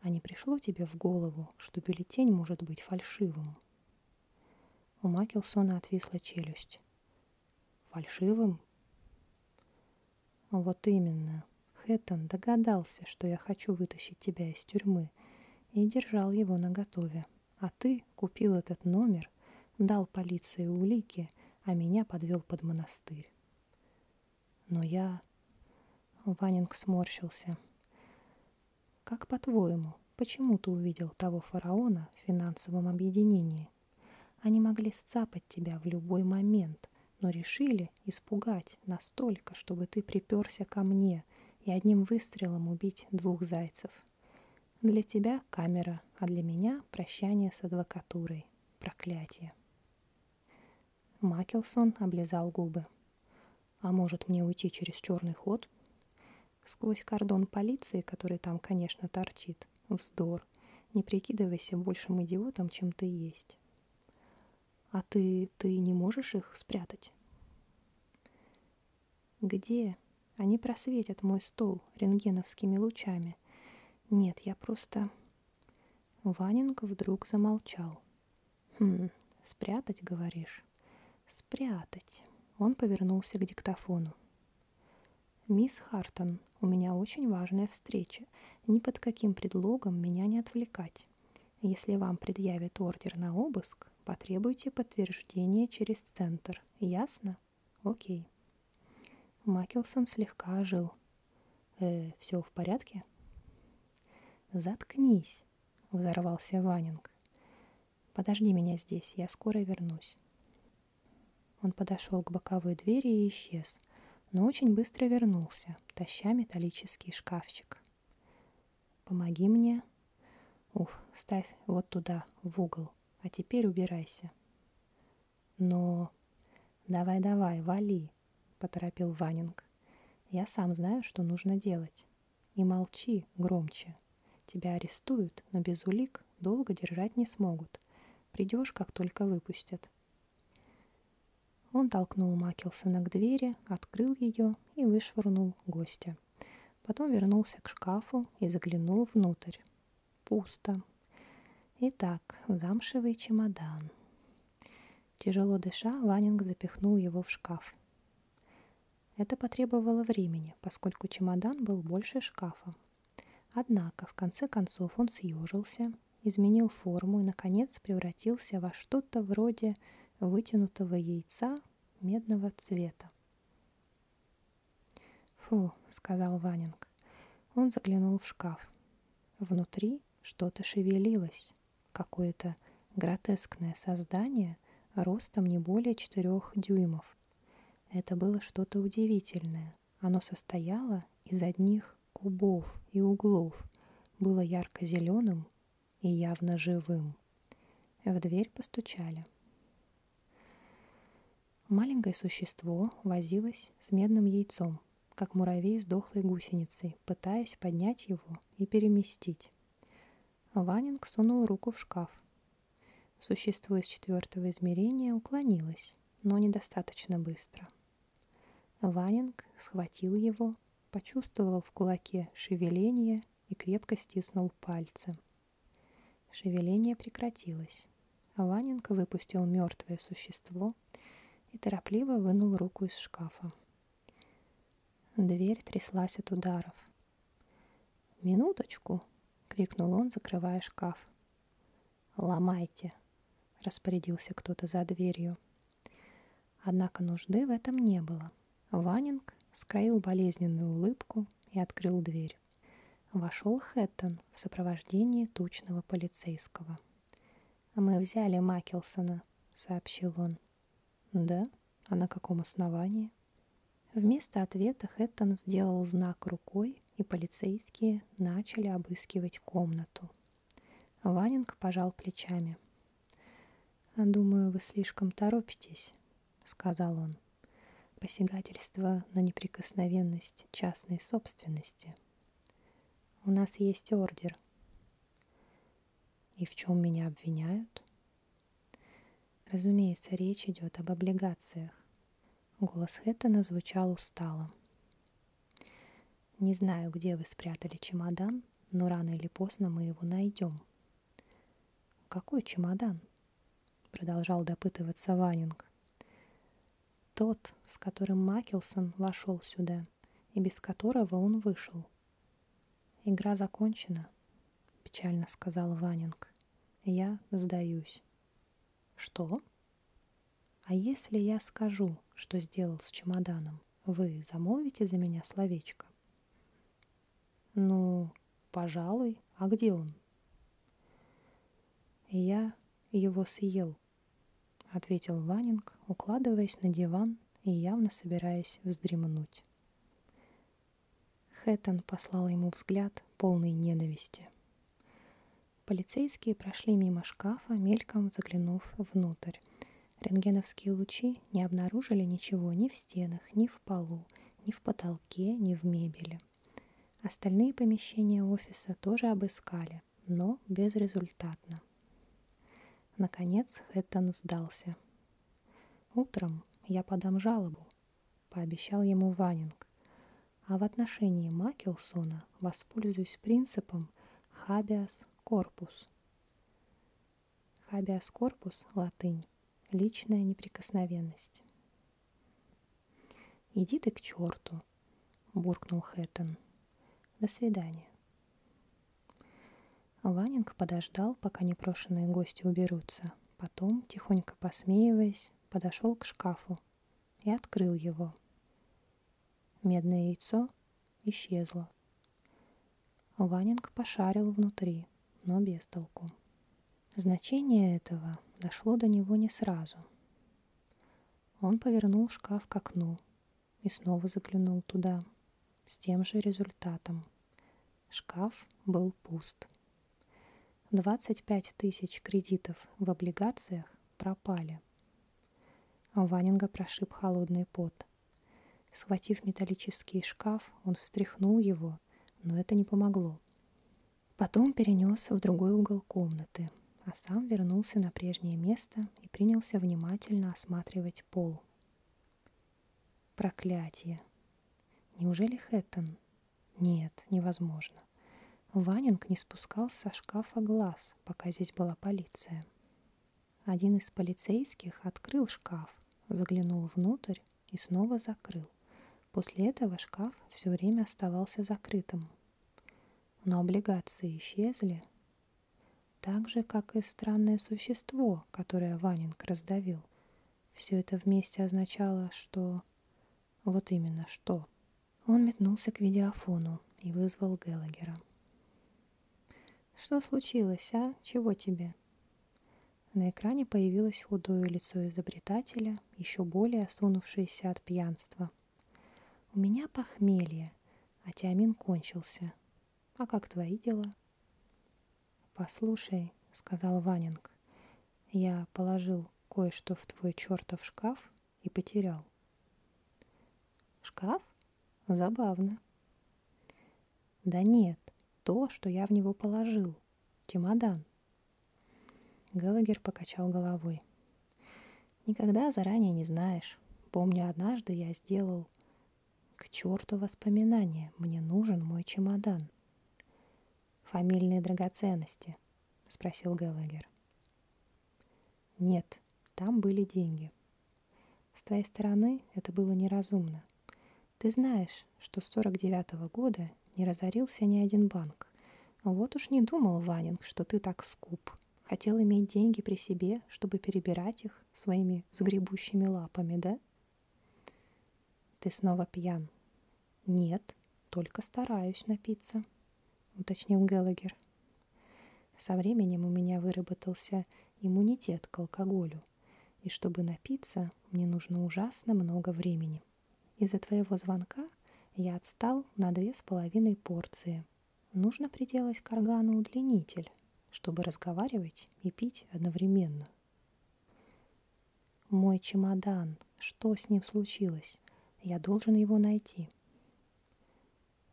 А не пришло тебе в голову, что бюллетень может быть фальшивым? У Макелсона отвисла челюсть. Фальшивым? Вот именно. Хэттон догадался, что я хочу вытащить тебя из тюрьмы, и держал его наготове. А ты купил этот номер, дал полиции улики, а меня подвел под монастырь. Но я... Ванинг сморщился. Как по-твоему, почему ты увидел того фараона в финансовом объединении? Они могли сцапать тебя в любой момент — но решили испугать настолько, чтобы ты приперся ко мне и одним выстрелом убить двух зайцев. Для тебя камера, а для меня прощание с адвокатурой. Проклятие. Макелсон облизал губы. А может мне уйти через черный ход? Сквозь кордон полиции, который там, конечно, торчит. Вздор. Не прикидывайся большим идиотом, чем ты есть. А ты, ты не можешь их спрятать? Где? Они просветят мой стол рентгеновскими лучами. Нет, я просто... Ваненко вдруг замолчал. Хм, спрятать, говоришь? Спрятать. Он повернулся к диктофону. «Мисс Хартон, у меня очень важная встреча. Ни под каким предлогом меня не отвлекать». Если вам предъявят ордер на обыск, потребуйте подтверждение через центр. Ясно? Окей. Макелсон слегка ожил. «Э, все в порядке?» «Заткнись!» — взорвался Ванинг. «Подожди меня здесь, я скоро вернусь». Он подошел к боковой двери и исчез — но очень быстро вернулся, таща металлический шкафчик. «Помоги мне». «Уф, ставь вот туда, в угол, а теперь убирайся». «Но...» «Давай-давай, вали», — поторопил Ванинг. «Я сам знаю, что нужно делать. И молчи громче. Тебя арестуют, но без улик долго держать не смогут. Придешь, как только выпустят. Он толкнул Макелсона к двери, открыл ее и вышвырнул гостя. Потом вернулся к шкафу и заглянул внутрь. Пусто. Итак, замшевый чемодан. Тяжело дыша, Ванинг запихнул его в шкаф. Это потребовало времени, поскольку чемодан был больше шкафа. Однако, в конце концов, он съежился изменил форму и, наконец, превратился во что-то вроде вытянутого яйца медного цвета. «Фу», — сказал Ванинг. Он заглянул в шкаф. Внутри что-то шевелилось, какое-то гротескное создание ростом не более четырех дюймов. Это было что-то удивительное. Оно состояло из одних кубов и углов, было ярко-зеленым и явно живым. В дверь постучали. Маленькое существо возилось с медным яйцом, как муравей с дохлой гусеницей, пытаясь поднять его и переместить. Ванинг сунул руку в шкаф. Существо из четвертого измерения уклонилось, но недостаточно быстро — Ванинг схватил его, почувствовал в кулаке шевеление и крепко стиснул пальцы. Шевеление прекратилось. Ванинг выпустил мертвое существо и торопливо вынул руку из шкафа. Дверь тряслась от ударов. «Минуточку!» — крикнул он, закрывая шкаф. «Ломайте!» — распорядился кто-то за дверью. Однако нужды в этом не было. Ванинг скроил болезненную улыбку и открыл дверь. Вошел Хэттон в сопровождении тучного полицейского. «Мы взяли Макелсона», — сообщил он. «Да? А на каком основании?» Вместо ответа Хэттон сделал знак рукой, и полицейские начали обыскивать комнату. Ванинг пожал плечами. «Думаю, вы слишком торопитесь», — сказал он. «Посягательство на неприкосновенность частной собственности. У нас есть ордер». «И в чем меня обвиняют?» Разумеется, речь идет об облигациях. Голос Хэттона звучал устало. Не знаю, где вы спрятали чемодан, но рано или поздно мы его найдем. Какой чемодан? Продолжал допытываться Ванинг. Тот, с которым Макелсон вошел сюда и без которого он вышел. Игра закончена, печально сказал Ванинг. Я сдаюсь. Что? А если я скажу, что сделал с чемоданом? Вы замолвите за меня словечко? Ну, пожалуй, а где он? Я его съел, ответил Ванинг, укладываясь на диван и явно собираясь вздремнуть. Хэттон послал ему взгляд, полный ненависти. Полицейские прошли мимо шкафа, мельком заглянув внутрь. Рентгеновские лучи не обнаружили ничего ни в стенах, ни в полу, ни в потолке, ни в мебели. Остальные помещения офиса тоже обыскали, но безрезультатно. Наконец Хэттон сдался. «Утром я подам жалобу», — пообещал ему Ванинг. «А в отношении Макелсона воспользуюсь принципом «хабиас корпус». Habeas corpus – латынь. Личная неприкосновенность. «Иди ты к черту!» – буркнул Хэттон. «До свидания». Ванинг подождал, пока непрошенные гости уберутся. Потом, тихонько посмеиваясь, подошел к шкафу и открыл его. Медное яйцо исчезла. Ванинг пошарил внутри, но без толку. Значение этого дошло до него не сразу. Он повернул шкаф к окну и снова заглянул туда, с тем же результатом. Шкаф был пуст. 25 тысяч кредитов в облигациях пропали. Ванинга прошиб холодный пот – Схватив металлический шкаф, он встряхнул его, но это не помогло. Потом перенес в другой угол комнаты, а сам вернулся на прежнее место и принялся внимательно осматривать пол. Проклятие. Неужели Хэттон? Нет, невозможно. Ванинг не спускал со шкафа глаз, пока здесь была полиция. Один из полицейских открыл шкаф, заглянул внутрь и снова закрыл. После этого шкаф все время оставался закрытым. Но облигации исчезли, так же, как и странное существо, которое Ванинг раздавил. Все это вместе означало, что... Вот именно что. Он метнулся к видеофону и вызвал Геллагера. «Что случилось, а? Чего тебе?» На экране появилось худое лицо изобретателя, еще более осунувшееся от пьянства. «У меня похмелье, а тиамин кончился. А как твои дела?» «Послушай», — сказал Ванинг, — «я положил кое-что в твой чертов шкаф и потерял». «Шкаф? Забавно». Да нет, то, что я в него положил. Чемодан. Геллагер покачал головой. Никогда заранее не знаешь. Помню, однажды я сделал... К черту воспоминания, мне нужен мой чемодан. Фамильные драгоценности, спросил Геллагер. Нет, там были деньги. С твоей стороны это было неразумно. Ты знаешь, что с 49 -го года не разорился ни один банк. Вот уж не думал, Ванинг, что ты так скуп. Хотел иметь деньги при себе, чтобы перебирать их своими сгребущими лапами, да? Ты снова пьян. Нет, только стараюсь напиться, уточнил Геллагер. Со временем у меня выработался иммунитет к алкоголю, и чтобы напиться, мне нужно ужасно много времени. Из-за твоего звонка я отстал на две с половиной порции. Нужно приделать к органу удлинитель, чтобы разговаривать и пить одновременно. Мой чемодан, что с ним случилось? Я должен его найти.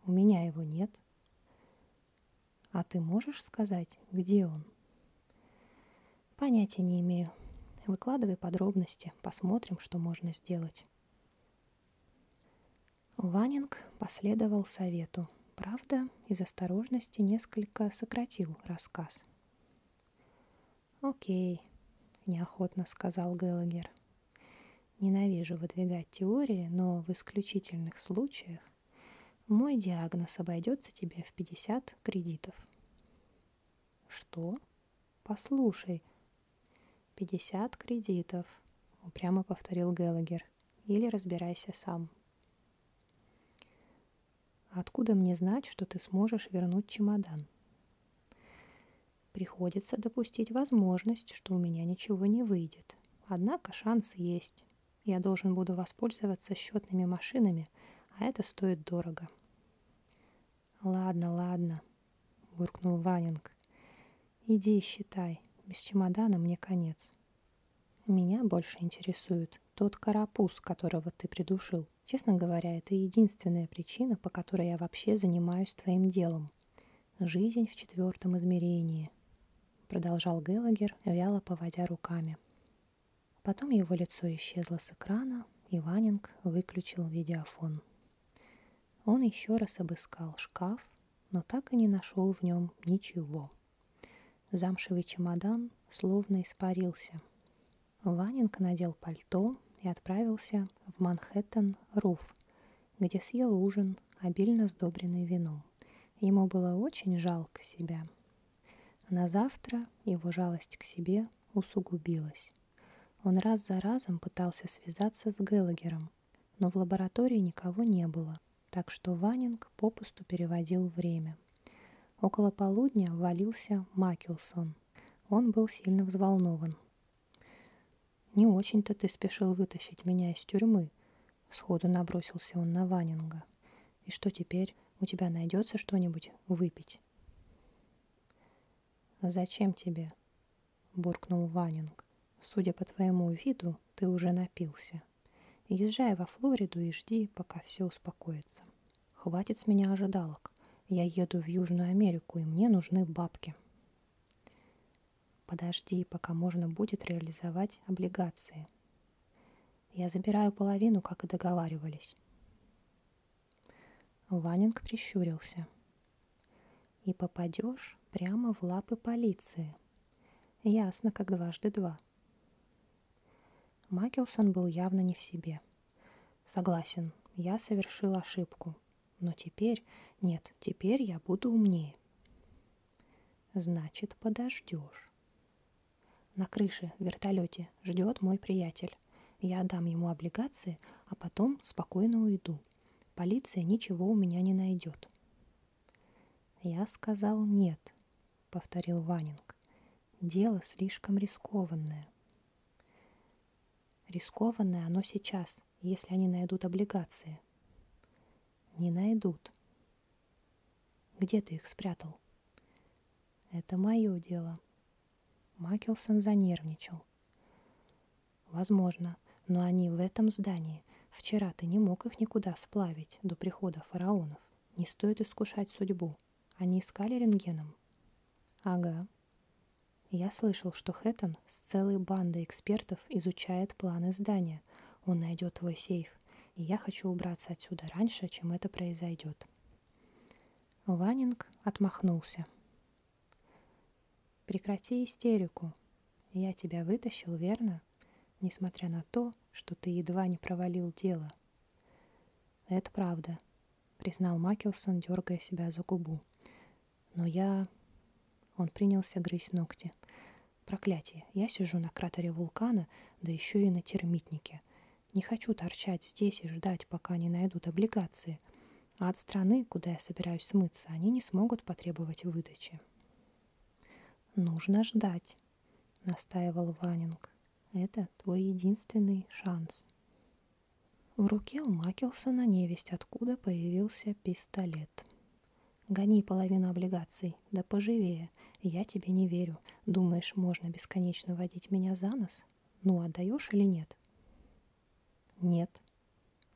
У меня его нет. А ты можешь сказать, где он? Понятия не имею. Выкладывай подробности, посмотрим, что можно сделать. Ванинг последовал совету. Правда, из осторожности несколько сократил рассказ. «Окей», — неохотно сказал Геллагер. «Ненавижу выдвигать теории, но в исключительных случаях мой диагноз обойдется тебе в 50 кредитов. Что? Послушай. 50 кредитов, упрямо повторил Геллагер. Или разбирайся сам. Откуда мне знать, что ты сможешь вернуть чемодан? Приходится допустить возможность, что у меня ничего не выйдет. Однако шанс есть. Я должен буду воспользоваться счетными машинами, а это стоит дорого. «Ладно, ладно», — буркнул Ванинг. «Иди и считай. Без чемодана мне конец». «Меня больше интересует тот карапуз, которого ты придушил. Честно говоря, это единственная причина, по которой я вообще занимаюсь твоим делом. Жизнь в четвертом измерении продолжал Геллагер, вяло поводя руками. Потом его лицо исчезло с экрана, и Ванинг выключил видеофон. Он еще раз обыскал шкаф, но так и не нашел в нем ничего. Замшевый чемодан словно испарился. Ванинг надел пальто и отправился в Манхэттен-Руф, где съел ужин, обильно сдобренный вином. Ему было очень жалко себя. На завтра его жалость к себе усугубилась. Он раз за разом пытался связаться с Геллагером, но в лаборатории никого не было, так что Ванинг попусту переводил время. Около полудня ввалился Макелсон. Он был сильно взволнован. «Не очень-то ты спешил вытащить меня из тюрьмы», Сходу набросился он на Ванинга. «И что теперь? У тебя найдется что-нибудь выпить?» «Зачем тебе?» — буркнул Ванинг. «Судя по твоему виду, ты уже напился. Езжай во Флориду и жди, пока все успокоится. Хватит с меня ожидалок. Я еду в Южную Америку, и мне нужны бабки». «Подожди, пока можно будет реализовать облигации», я забираю половину, как и договаривались. Ванинг прищурился. И попадешь прямо в лапы полиции. Ясно, как дважды два. Макелсон был явно не в себе. Согласен, я совершил ошибку. Но теперь, нет, теперь я буду умнее. Значит, подождешь. На крыше в вертолете ждет мой приятель. Я отдам ему облигации, а потом спокойно уйду. Полиция ничего у меня не найдет. Я сказал нет, повторил Ванинг. Дело слишком рискованное. Рискованное оно сейчас, если они найдут облигации. Не найдут. Где ты их спрятал? Это мое дело. Макелсон занервничал. Возможно, но они в этом здании. Вчера ты не мог их никуда сплавить до прихода фараонов. Не стоит искушать судьбу. Они искали рентгеном? Ага. Я слышал, что Хэттон с целой бандой экспертов изучает планы здания. Он найдет твой сейф драйв, и я хочу убраться отсюда раньше, чем это произойдет. Ванинг отмахнулся. «Прекрати истерику. Я тебя вытащил, верно? Несмотря на то, что ты едва не провалил дело». «Это правда», — признал Макелсон, дергая себя за губу. «Но я...» Он принялся грызть ногти. Проклятие, я сижу на кратере вулкана, да еще и на термитнике. Не хочу торчать здесь и ждать, пока не найдут облигации. А от страны, куда я собираюсь смыться, они не смогут потребовать выдачи. «Нужно ждать», — настаивал Ванинг. «Это твой единственный шанс». В руке у Макелсона невесть откуда появился пистолет. Гони половину облигаций, да поживее. Я тебе не верю. Думаешь, можно бесконечно водить меня за нос? Ну, отдаешь или нет? Нет,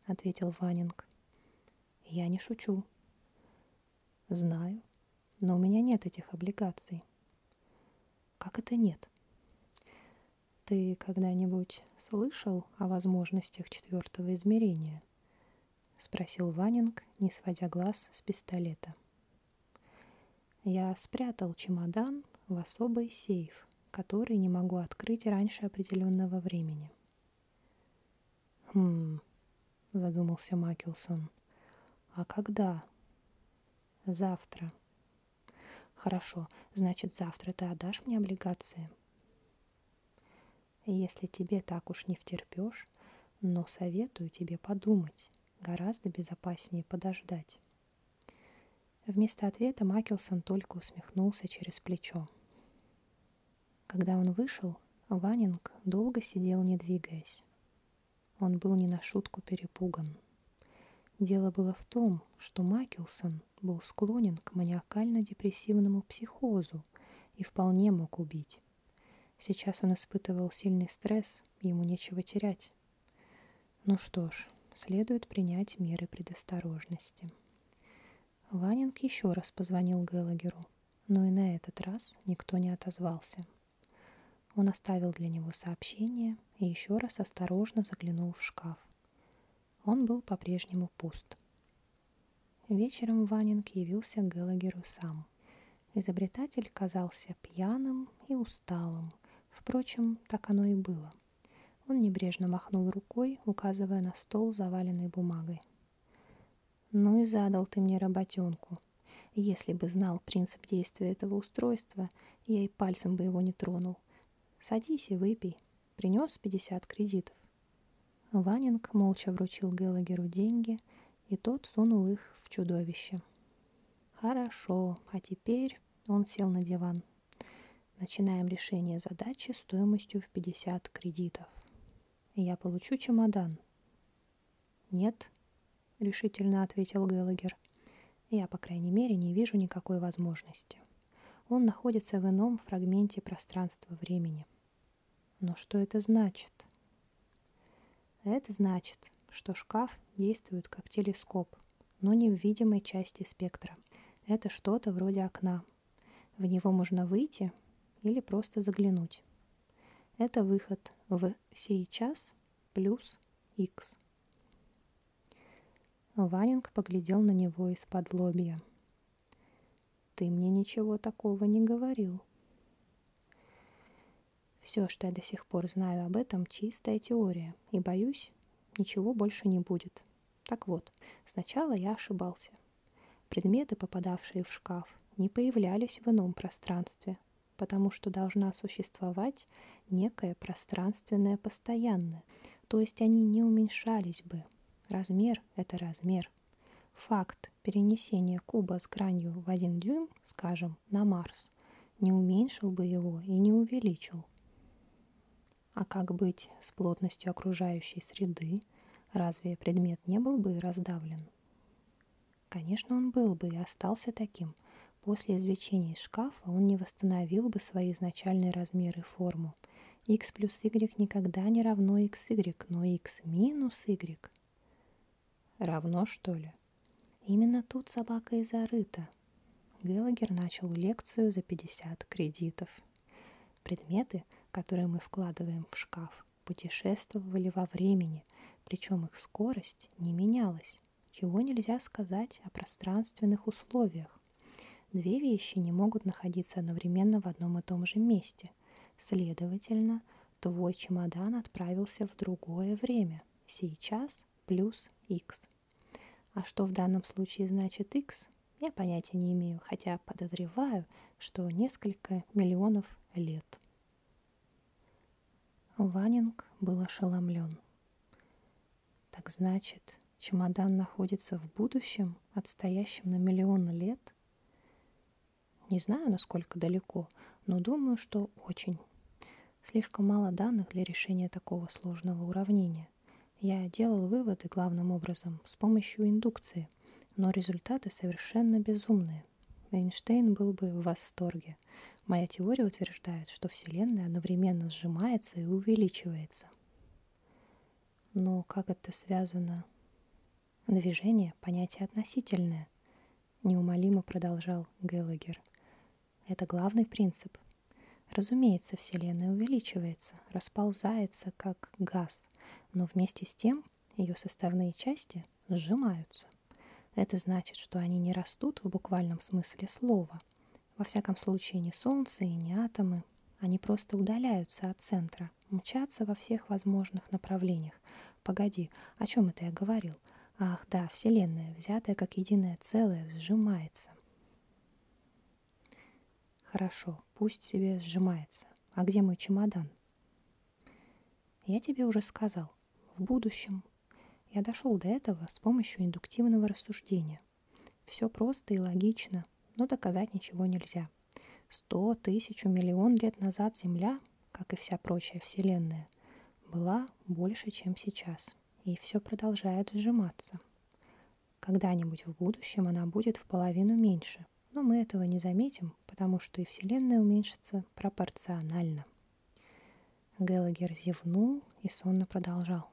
ответил Ванинг. Я не шучу. Знаю, но у меня нет этих облигаций. Как это нет? Ты когда-нибудь слышал о возможностях четвертого измерения? — спросил Ванинг, не сводя глаз с пистолета. «Я спрятал чемодан в особый сейф, который не могу открыть раньше определенного времени». «Хм...» — задумался Макелсон. «А когда?» «Завтра». «Хорошо, значит, завтра ты отдашь мне облигации?» Если тебе так уж не втерпешь, но советую тебе подумать, гораздо безопаснее подождать. Вместо ответа Макелсон только усмехнулся через плечо. Когда он вышел, Ванинг долго сидел, не двигаясь. Он был не на шутку перепуган. Дело было в том, что Макелсон был склонен к маниакально-депрессивному психозу и вполне мог убить. Сейчас он испытывал сильный стресс, ему нечего терять. Ну что ж, следует принять меры предосторожности. Ванинг еще раз позвонил Геллагеру, но и на этот раз никто не отозвался. Он оставил для него сообщение и еще раз осторожно заглянул в шкаф. Он был по-прежнему пуст. Вечером Ванинг явился к Геллагеру сам. Изобретатель казался пьяным и усталым. Впрочем, так оно и было. Он небрежно махнул рукой, указывая на стол, заваленный бумагой. «Ну и задал ты мне работенку. Если бы знал принцип действия этого устройства, я и пальцем бы его не тронул. Садись и выпей. Принес 50 кредитов». Ванинг молча вручил Геллагеру деньги, и тот сунул их в чудовище. Хорошо, а теперь он сел на диван. Начинаем решение задачи стоимостью в 50 кредитов. Я получу чемодан. Нет, решительно ответил Геллагер. Я, по крайней мере, не вижу никакой возможности. Он находится в ином фрагменте пространства-времени. Но что это значит? Это значит, что шкаф действует как телескоп, но не в видимой части спектра. Это что-то вроде окна. В него можно выйти или просто заглянуть. Это выход в сейчас плюс x. Ванинг поглядел на него из-под лобья. Ты мне ничего такого не говорил. Все, что я до сих пор знаю об этом, чистая теория, и боюсь, ничего больше не будет. Так вот, сначала я ошибался. Предметы, попадавшие в шкаф, не появлялись в ином пространстве, потому что должна существовать некое пространственное постоянное, то есть они не уменьшались бы. Размер — это размер. Факт эффект перенесения куба с гранью в один дюйм, скажем, на Марс, не уменьшил бы его и не увеличил. А как быть с плотностью окружающей среды? Разве предмет не был бы раздавлен? Конечно, он был бы и остался таким. После извлечения из шкафа он не восстановил бы свои изначальные размеры и форму. x плюс y никогда не равно xy, но x минус y Равно, что ли? Именно тут собака и зарыта. Геллагер начал лекцию за 50 кредитов. Предметы, которые мы вкладываем в шкаф, путешествовали во времени, причем их скорость не менялась, чего нельзя сказать о пространственных условиях. Две вещи не могут находиться одновременно в одном и том же месте. Следовательно, твой чемодан отправился в другое время. Сейчас плюс x. А что в данном случае значит x, я понятия не имею, хотя подозреваю, что несколько миллионов лет. Ванинг был ошеломлен. Так значит, чемодан находится в будущем, отстоящем на миллион лет? Не знаю, насколько далеко, но думаю, что очень. Слишком мало данных для решения такого сложного уравнения. Я делал выводы главным образом с помощью индукции, но результаты совершенно безумные. Эйнштейн был бы в восторге. Моя теория утверждает, что Вселенная одновременно сжимается и увеличивается. Но как это связано? Движение – понятие относительное неумолимо продолжал Геллагер. Это главный принцип. Разумеется, Вселенная увеличивается, расползается, как газ, но вместе с тем ее составные части сжимаются. Это значит, что они не растут в буквальном смысле слова. Во всяком случае, ни Солнце и ни атомы. Они просто удаляются от центра, мчатся во всех возможных направлениях, Погоди, о чем это я говорил? Ах, да, Вселенная, взятая как единое целое, сжимается. Хорошо, пусть себе сжимается. А где мой чемодан? Я тебе уже сказал. В будущем. Я дошел до этого с помощью индуктивного рассуждения. Все просто и логично, но доказать ничего нельзя. Сто, тысячу, миллион лет назад Земля как и вся прочая Вселенная, была больше, чем сейчас, и все продолжает сжиматься. Когда-нибудь в будущем она будет в половину меньше, но мы этого не заметим, потому что и Вселенная уменьшится пропорционально. Геллагер зевнул и сонно продолжал.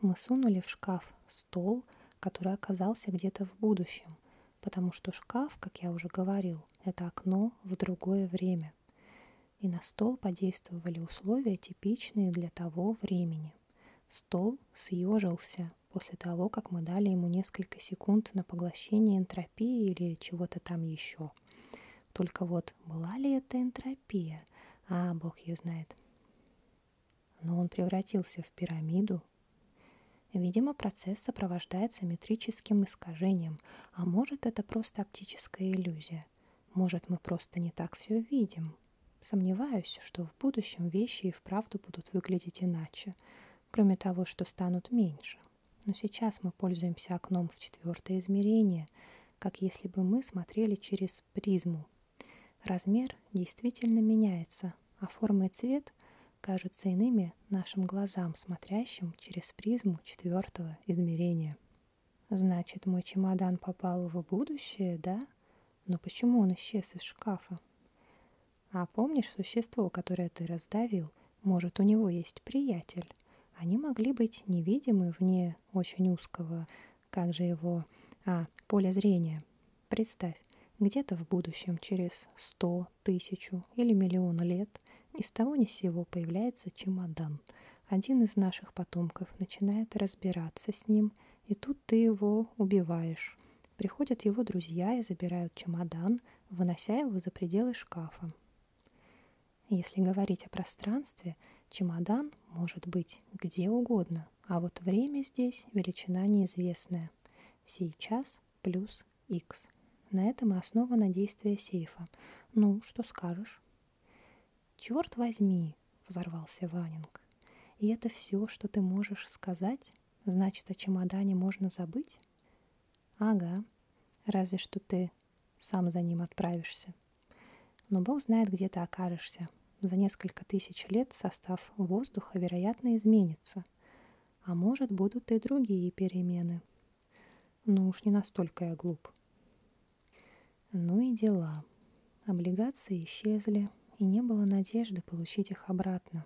Мы сунули в шкаф стол, который оказался где-то в будущем, потому что шкаф, как я уже говорил, это окно в другое время. И на стол подействовали условия, типичные для того времени. Стол съежился после того, как мы дали ему несколько секунд на поглощение энтропии или чего-то там еще. Только вот была ли это энтропия? А, бог ее знает. Но он превратился в пирамиду, году. Видимо, процесс сопровождается метрическим искажением, а может это просто оптическая иллюзия. Может мы просто не так все видим. Сомневаюсь, что в будущем вещи и вправду будут выглядеть иначе, кроме того, что станут меньше. Но сейчас мы пользуемся окном в четвертое измерение, как если бы мы смотрели через призму. Размер действительно меняется, а форма и цвет кажутся иными нашим глазам, смотрящим через призму четвертого измерения. Значит, мой чемодан попал в будущее, да? Но почему он исчез из шкафа? А помнишь существо, которое ты раздавил? Может, у него есть приятель? Они могли быть невидимы вне очень узкого, как же его, а, поля зрения. Представь, где-то в будущем, через 100, сто, тысячу или миллион лет ни с того ни с сего появляется чемодан. Один из наших потомков начинает разбираться с ним, и тут ты его убиваешь. Приходят его друзья и забирают чемодан, вынося его за пределы шкафа. Если говорить о пространстве, чемодан может быть где угодно, а вот время здесь величина неизвестная. Сейчас плюс x. На этом и основано действие сейфа. Ну, что скажешь? Черт возьми, взорвался Ванинг. И это все, что ты можешь сказать? Значит, о чемодане можно забыть? Ага, разве что ты сам за ним отправишься. Но Бог знает, где ты окажешься. За несколько тысяч лет состав воздуха, вероятно, изменится. А может, будут и другие перемены. Ну уж не настолько я глуп. Ну и дела. Облигации исчезли, и не было надежды получить их обратно.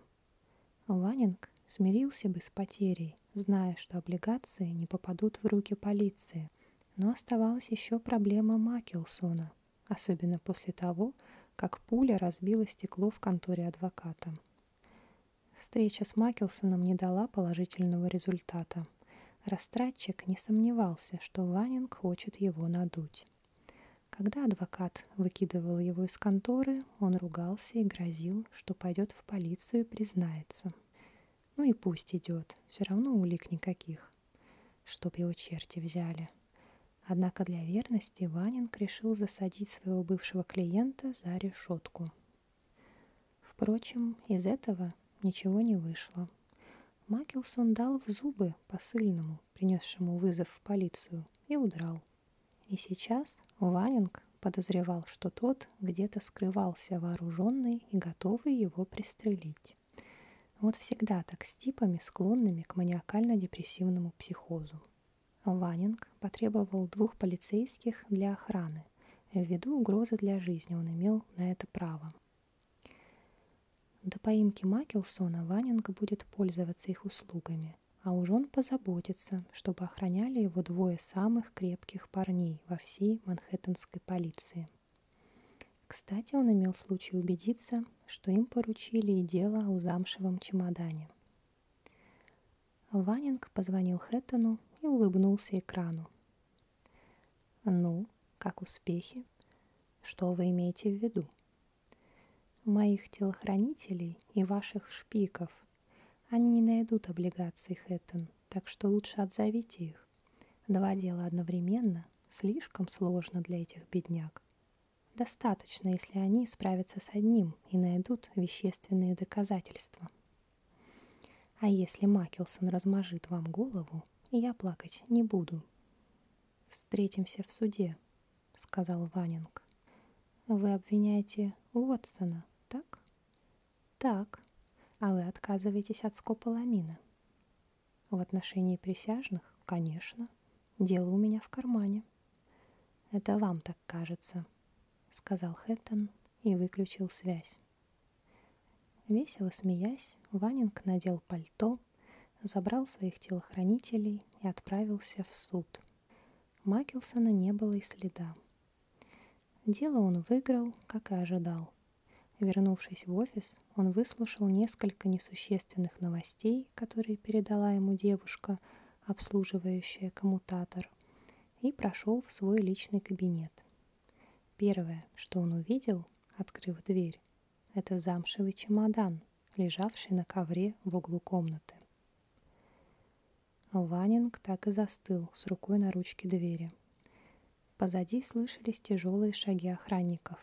Ванинг смирился бы с потерей, зная, что облигации не попадут в руки полиции. Но оставалась еще проблема Макелсона, особенно после того, как пуля разбила стекло в конторе адвоката. Встреча с Макелсоном не дала положительного результата. Растратчик не сомневался, что Ванинг хочет его надуть. Когда адвокат выкидывал его из конторы, он ругался и грозил, что пойдет в полицию и признается. Ну и пусть идет, все равно улик никаких. Чтоб его черти взяли. Однако для верности Ванинг решил засадить своего бывшего клиента за решетку. Впрочем, из этого ничего не вышло. Макелсон дал в зубы посыльному, принесшему вызов в полицию, и удрал. И сейчас Ванинг подозревал, что тот где-то скрывался вооруженный и готовый его пристрелить. Вот всегда так с типами, склонными к маниакально-депрессивному психозу. Ванинг потребовал двух полицейских для охраны. Ввиду угрозы для жизни он имел на это право. До поимки Макелсона Ванинг будет пользоваться их услугами, а уж он позаботится, чтобы охраняли его двое самых крепких парней во всей манхэттенской полиции. Кстати, он имел случай убедиться, что им поручили и дело о замшевом чемодане – Ванинг позвонил Хэттону и улыбнулся экрану. «Ну, как успехи? Что вы имеете в виду?» «Моих телохранителей и ваших шпиков. Они не найдут облигаций, Хэттон, так что лучше отзовите их. Два дела одновременно слишком сложно для этих бедняк. Достаточно, если они справятся с одним и найдут вещественные доказательства». А если Макелсон размажит вам голову, я плакать не буду. Встретимся в суде, сказал Ванинг. Вы обвиняете Уотсона, так? Так. А вы отказываетесь от скополамина. В отношении присяжных, конечно. Дело у меня в кармане. Это вам-то так кажется», — сказал Хэттон и выключил связь. Весело смеясь, Ванинг надел пальто, забрал своих телохранителей и отправился в суд. Макелсона не было и следа. Дело он выиграл, как и ожидал. Вернувшись в офис, он выслушал несколько несущественных новостей, которые передала ему девушка, обслуживающая коммутатор, и прошел в свой личный кабинет. Первое, что он увидел, открыв дверь, это замшевый чемодан, лежавший на ковре в углу комнаты. Ванинг так и застыл с рукой на ручке двери. Позади слышались тяжелые шаги охранников.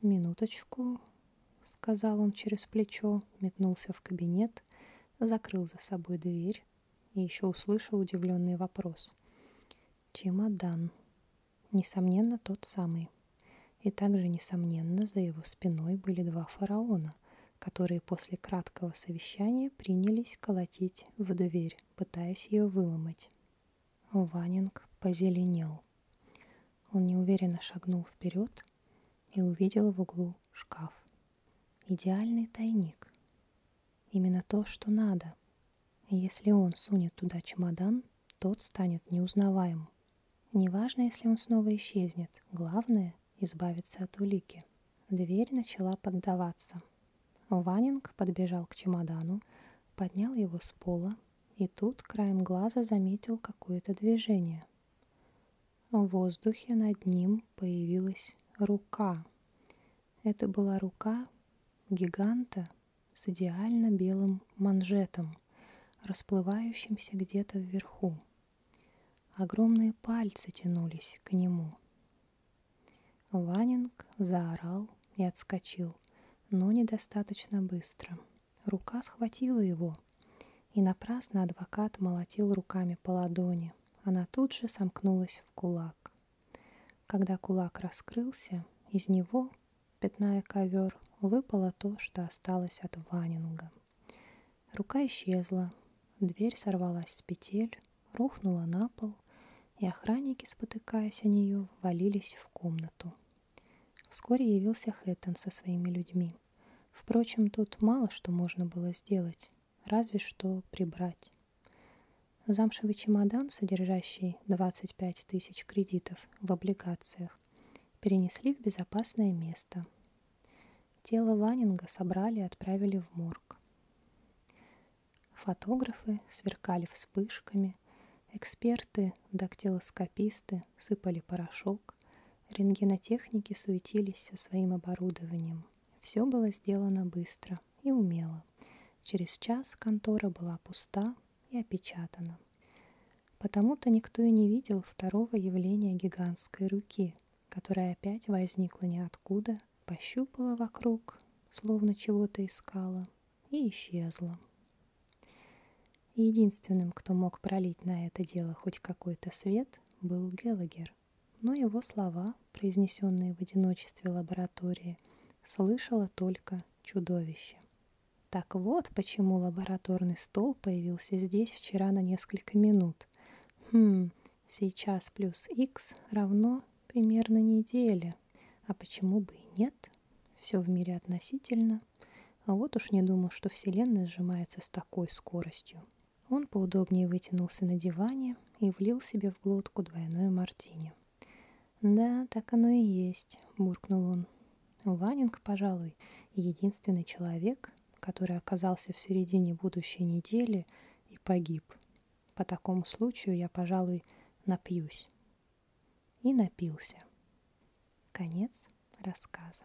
«Минуточку», — сказал он через плечо, метнулся в кабинет назад, закрыл за собой дверь и еще услышал удивленный вопрос. Чемодан. Несомненно, тот самый. И также, несомненно, за его спиной были два фараона, которые после краткого совещания принялись колотить в дверь, пытаясь ее выломать. Ванинг позеленел. Он неуверенно шагнул вперед и увидел в углу шкаф. Идеальный тайник. Именно то, что надо. И если он сунет туда чемодан, тот станет неузнаваемым. Неважно, если он снова исчезнет, главное — избавиться от улики. Дверь начала поддаваться. Ванинг подбежал к чемодану, поднял его с пола, и тут краем глаза заметил какое-то движение. В воздухе над ним появилась рука. Это была рука гиганта с идеально белым манжетом, расплывающимся где-то вверху. Огромные пальцы тянулись к нему. Ванинг заорал и отскочил, но недостаточно быстро. Рука схватила его, и напрасно адвокат молотил руками по ладони она тут же сомкнулась в кулак. Когда кулак раскрылся, из него, пятная ковер, выпало то, что осталось от Ванинга. Рука исчезла, дверь сорвалась с петель, рухнула на пол, и охранники, спотыкаясь о нее, валились в комнату. Вскоре явился Хэттон со своими людьми. Впрочем, тут мало что можно было сделать разве что прибрать. Замшевый чемодан, содержащий 25 тысяч кредитов в облигациях, перенесли в безопасное место. Тело Ванинга собрали и отправили в морг. Фотографы сверкали вспышками, эксперты, дактилоскописты сыпали порошок, рентгенотехники суетились со своим оборудованием. Все было сделано быстро и умело. Через час контора была пуста и опечатана. Потому-то никто и не видел второго явления гигантской руки, которая опять возникла ниоткуда, пощупала вокруг, словно чего-то искала, и исчезла. Единственным, кто мог пролить на это дело хоть какой-то свет, был Геллагер но его слова, произнесенные в одиночестве лаборатории, слышало только чудовище. Так вот, почему лабораторный стол появился здесь вчера на несколько минут. Хм, сейчас плюс x равно примерно неделе. А почему бы и нет? Все в мире относительно. А вот уж не думал, что Вселенная сжимается с такой скоростью. Он поудобнее вытянулся на диване и влил себе в глотку двойное мартини. «Да, так оно и есть», — буркнул он. Ванинг, пожалуй, единственный человек, который оказался в середине будущей недели и погиб. По такому случаю я, пожалуй, напьюсь. И напился. Конец рассказа.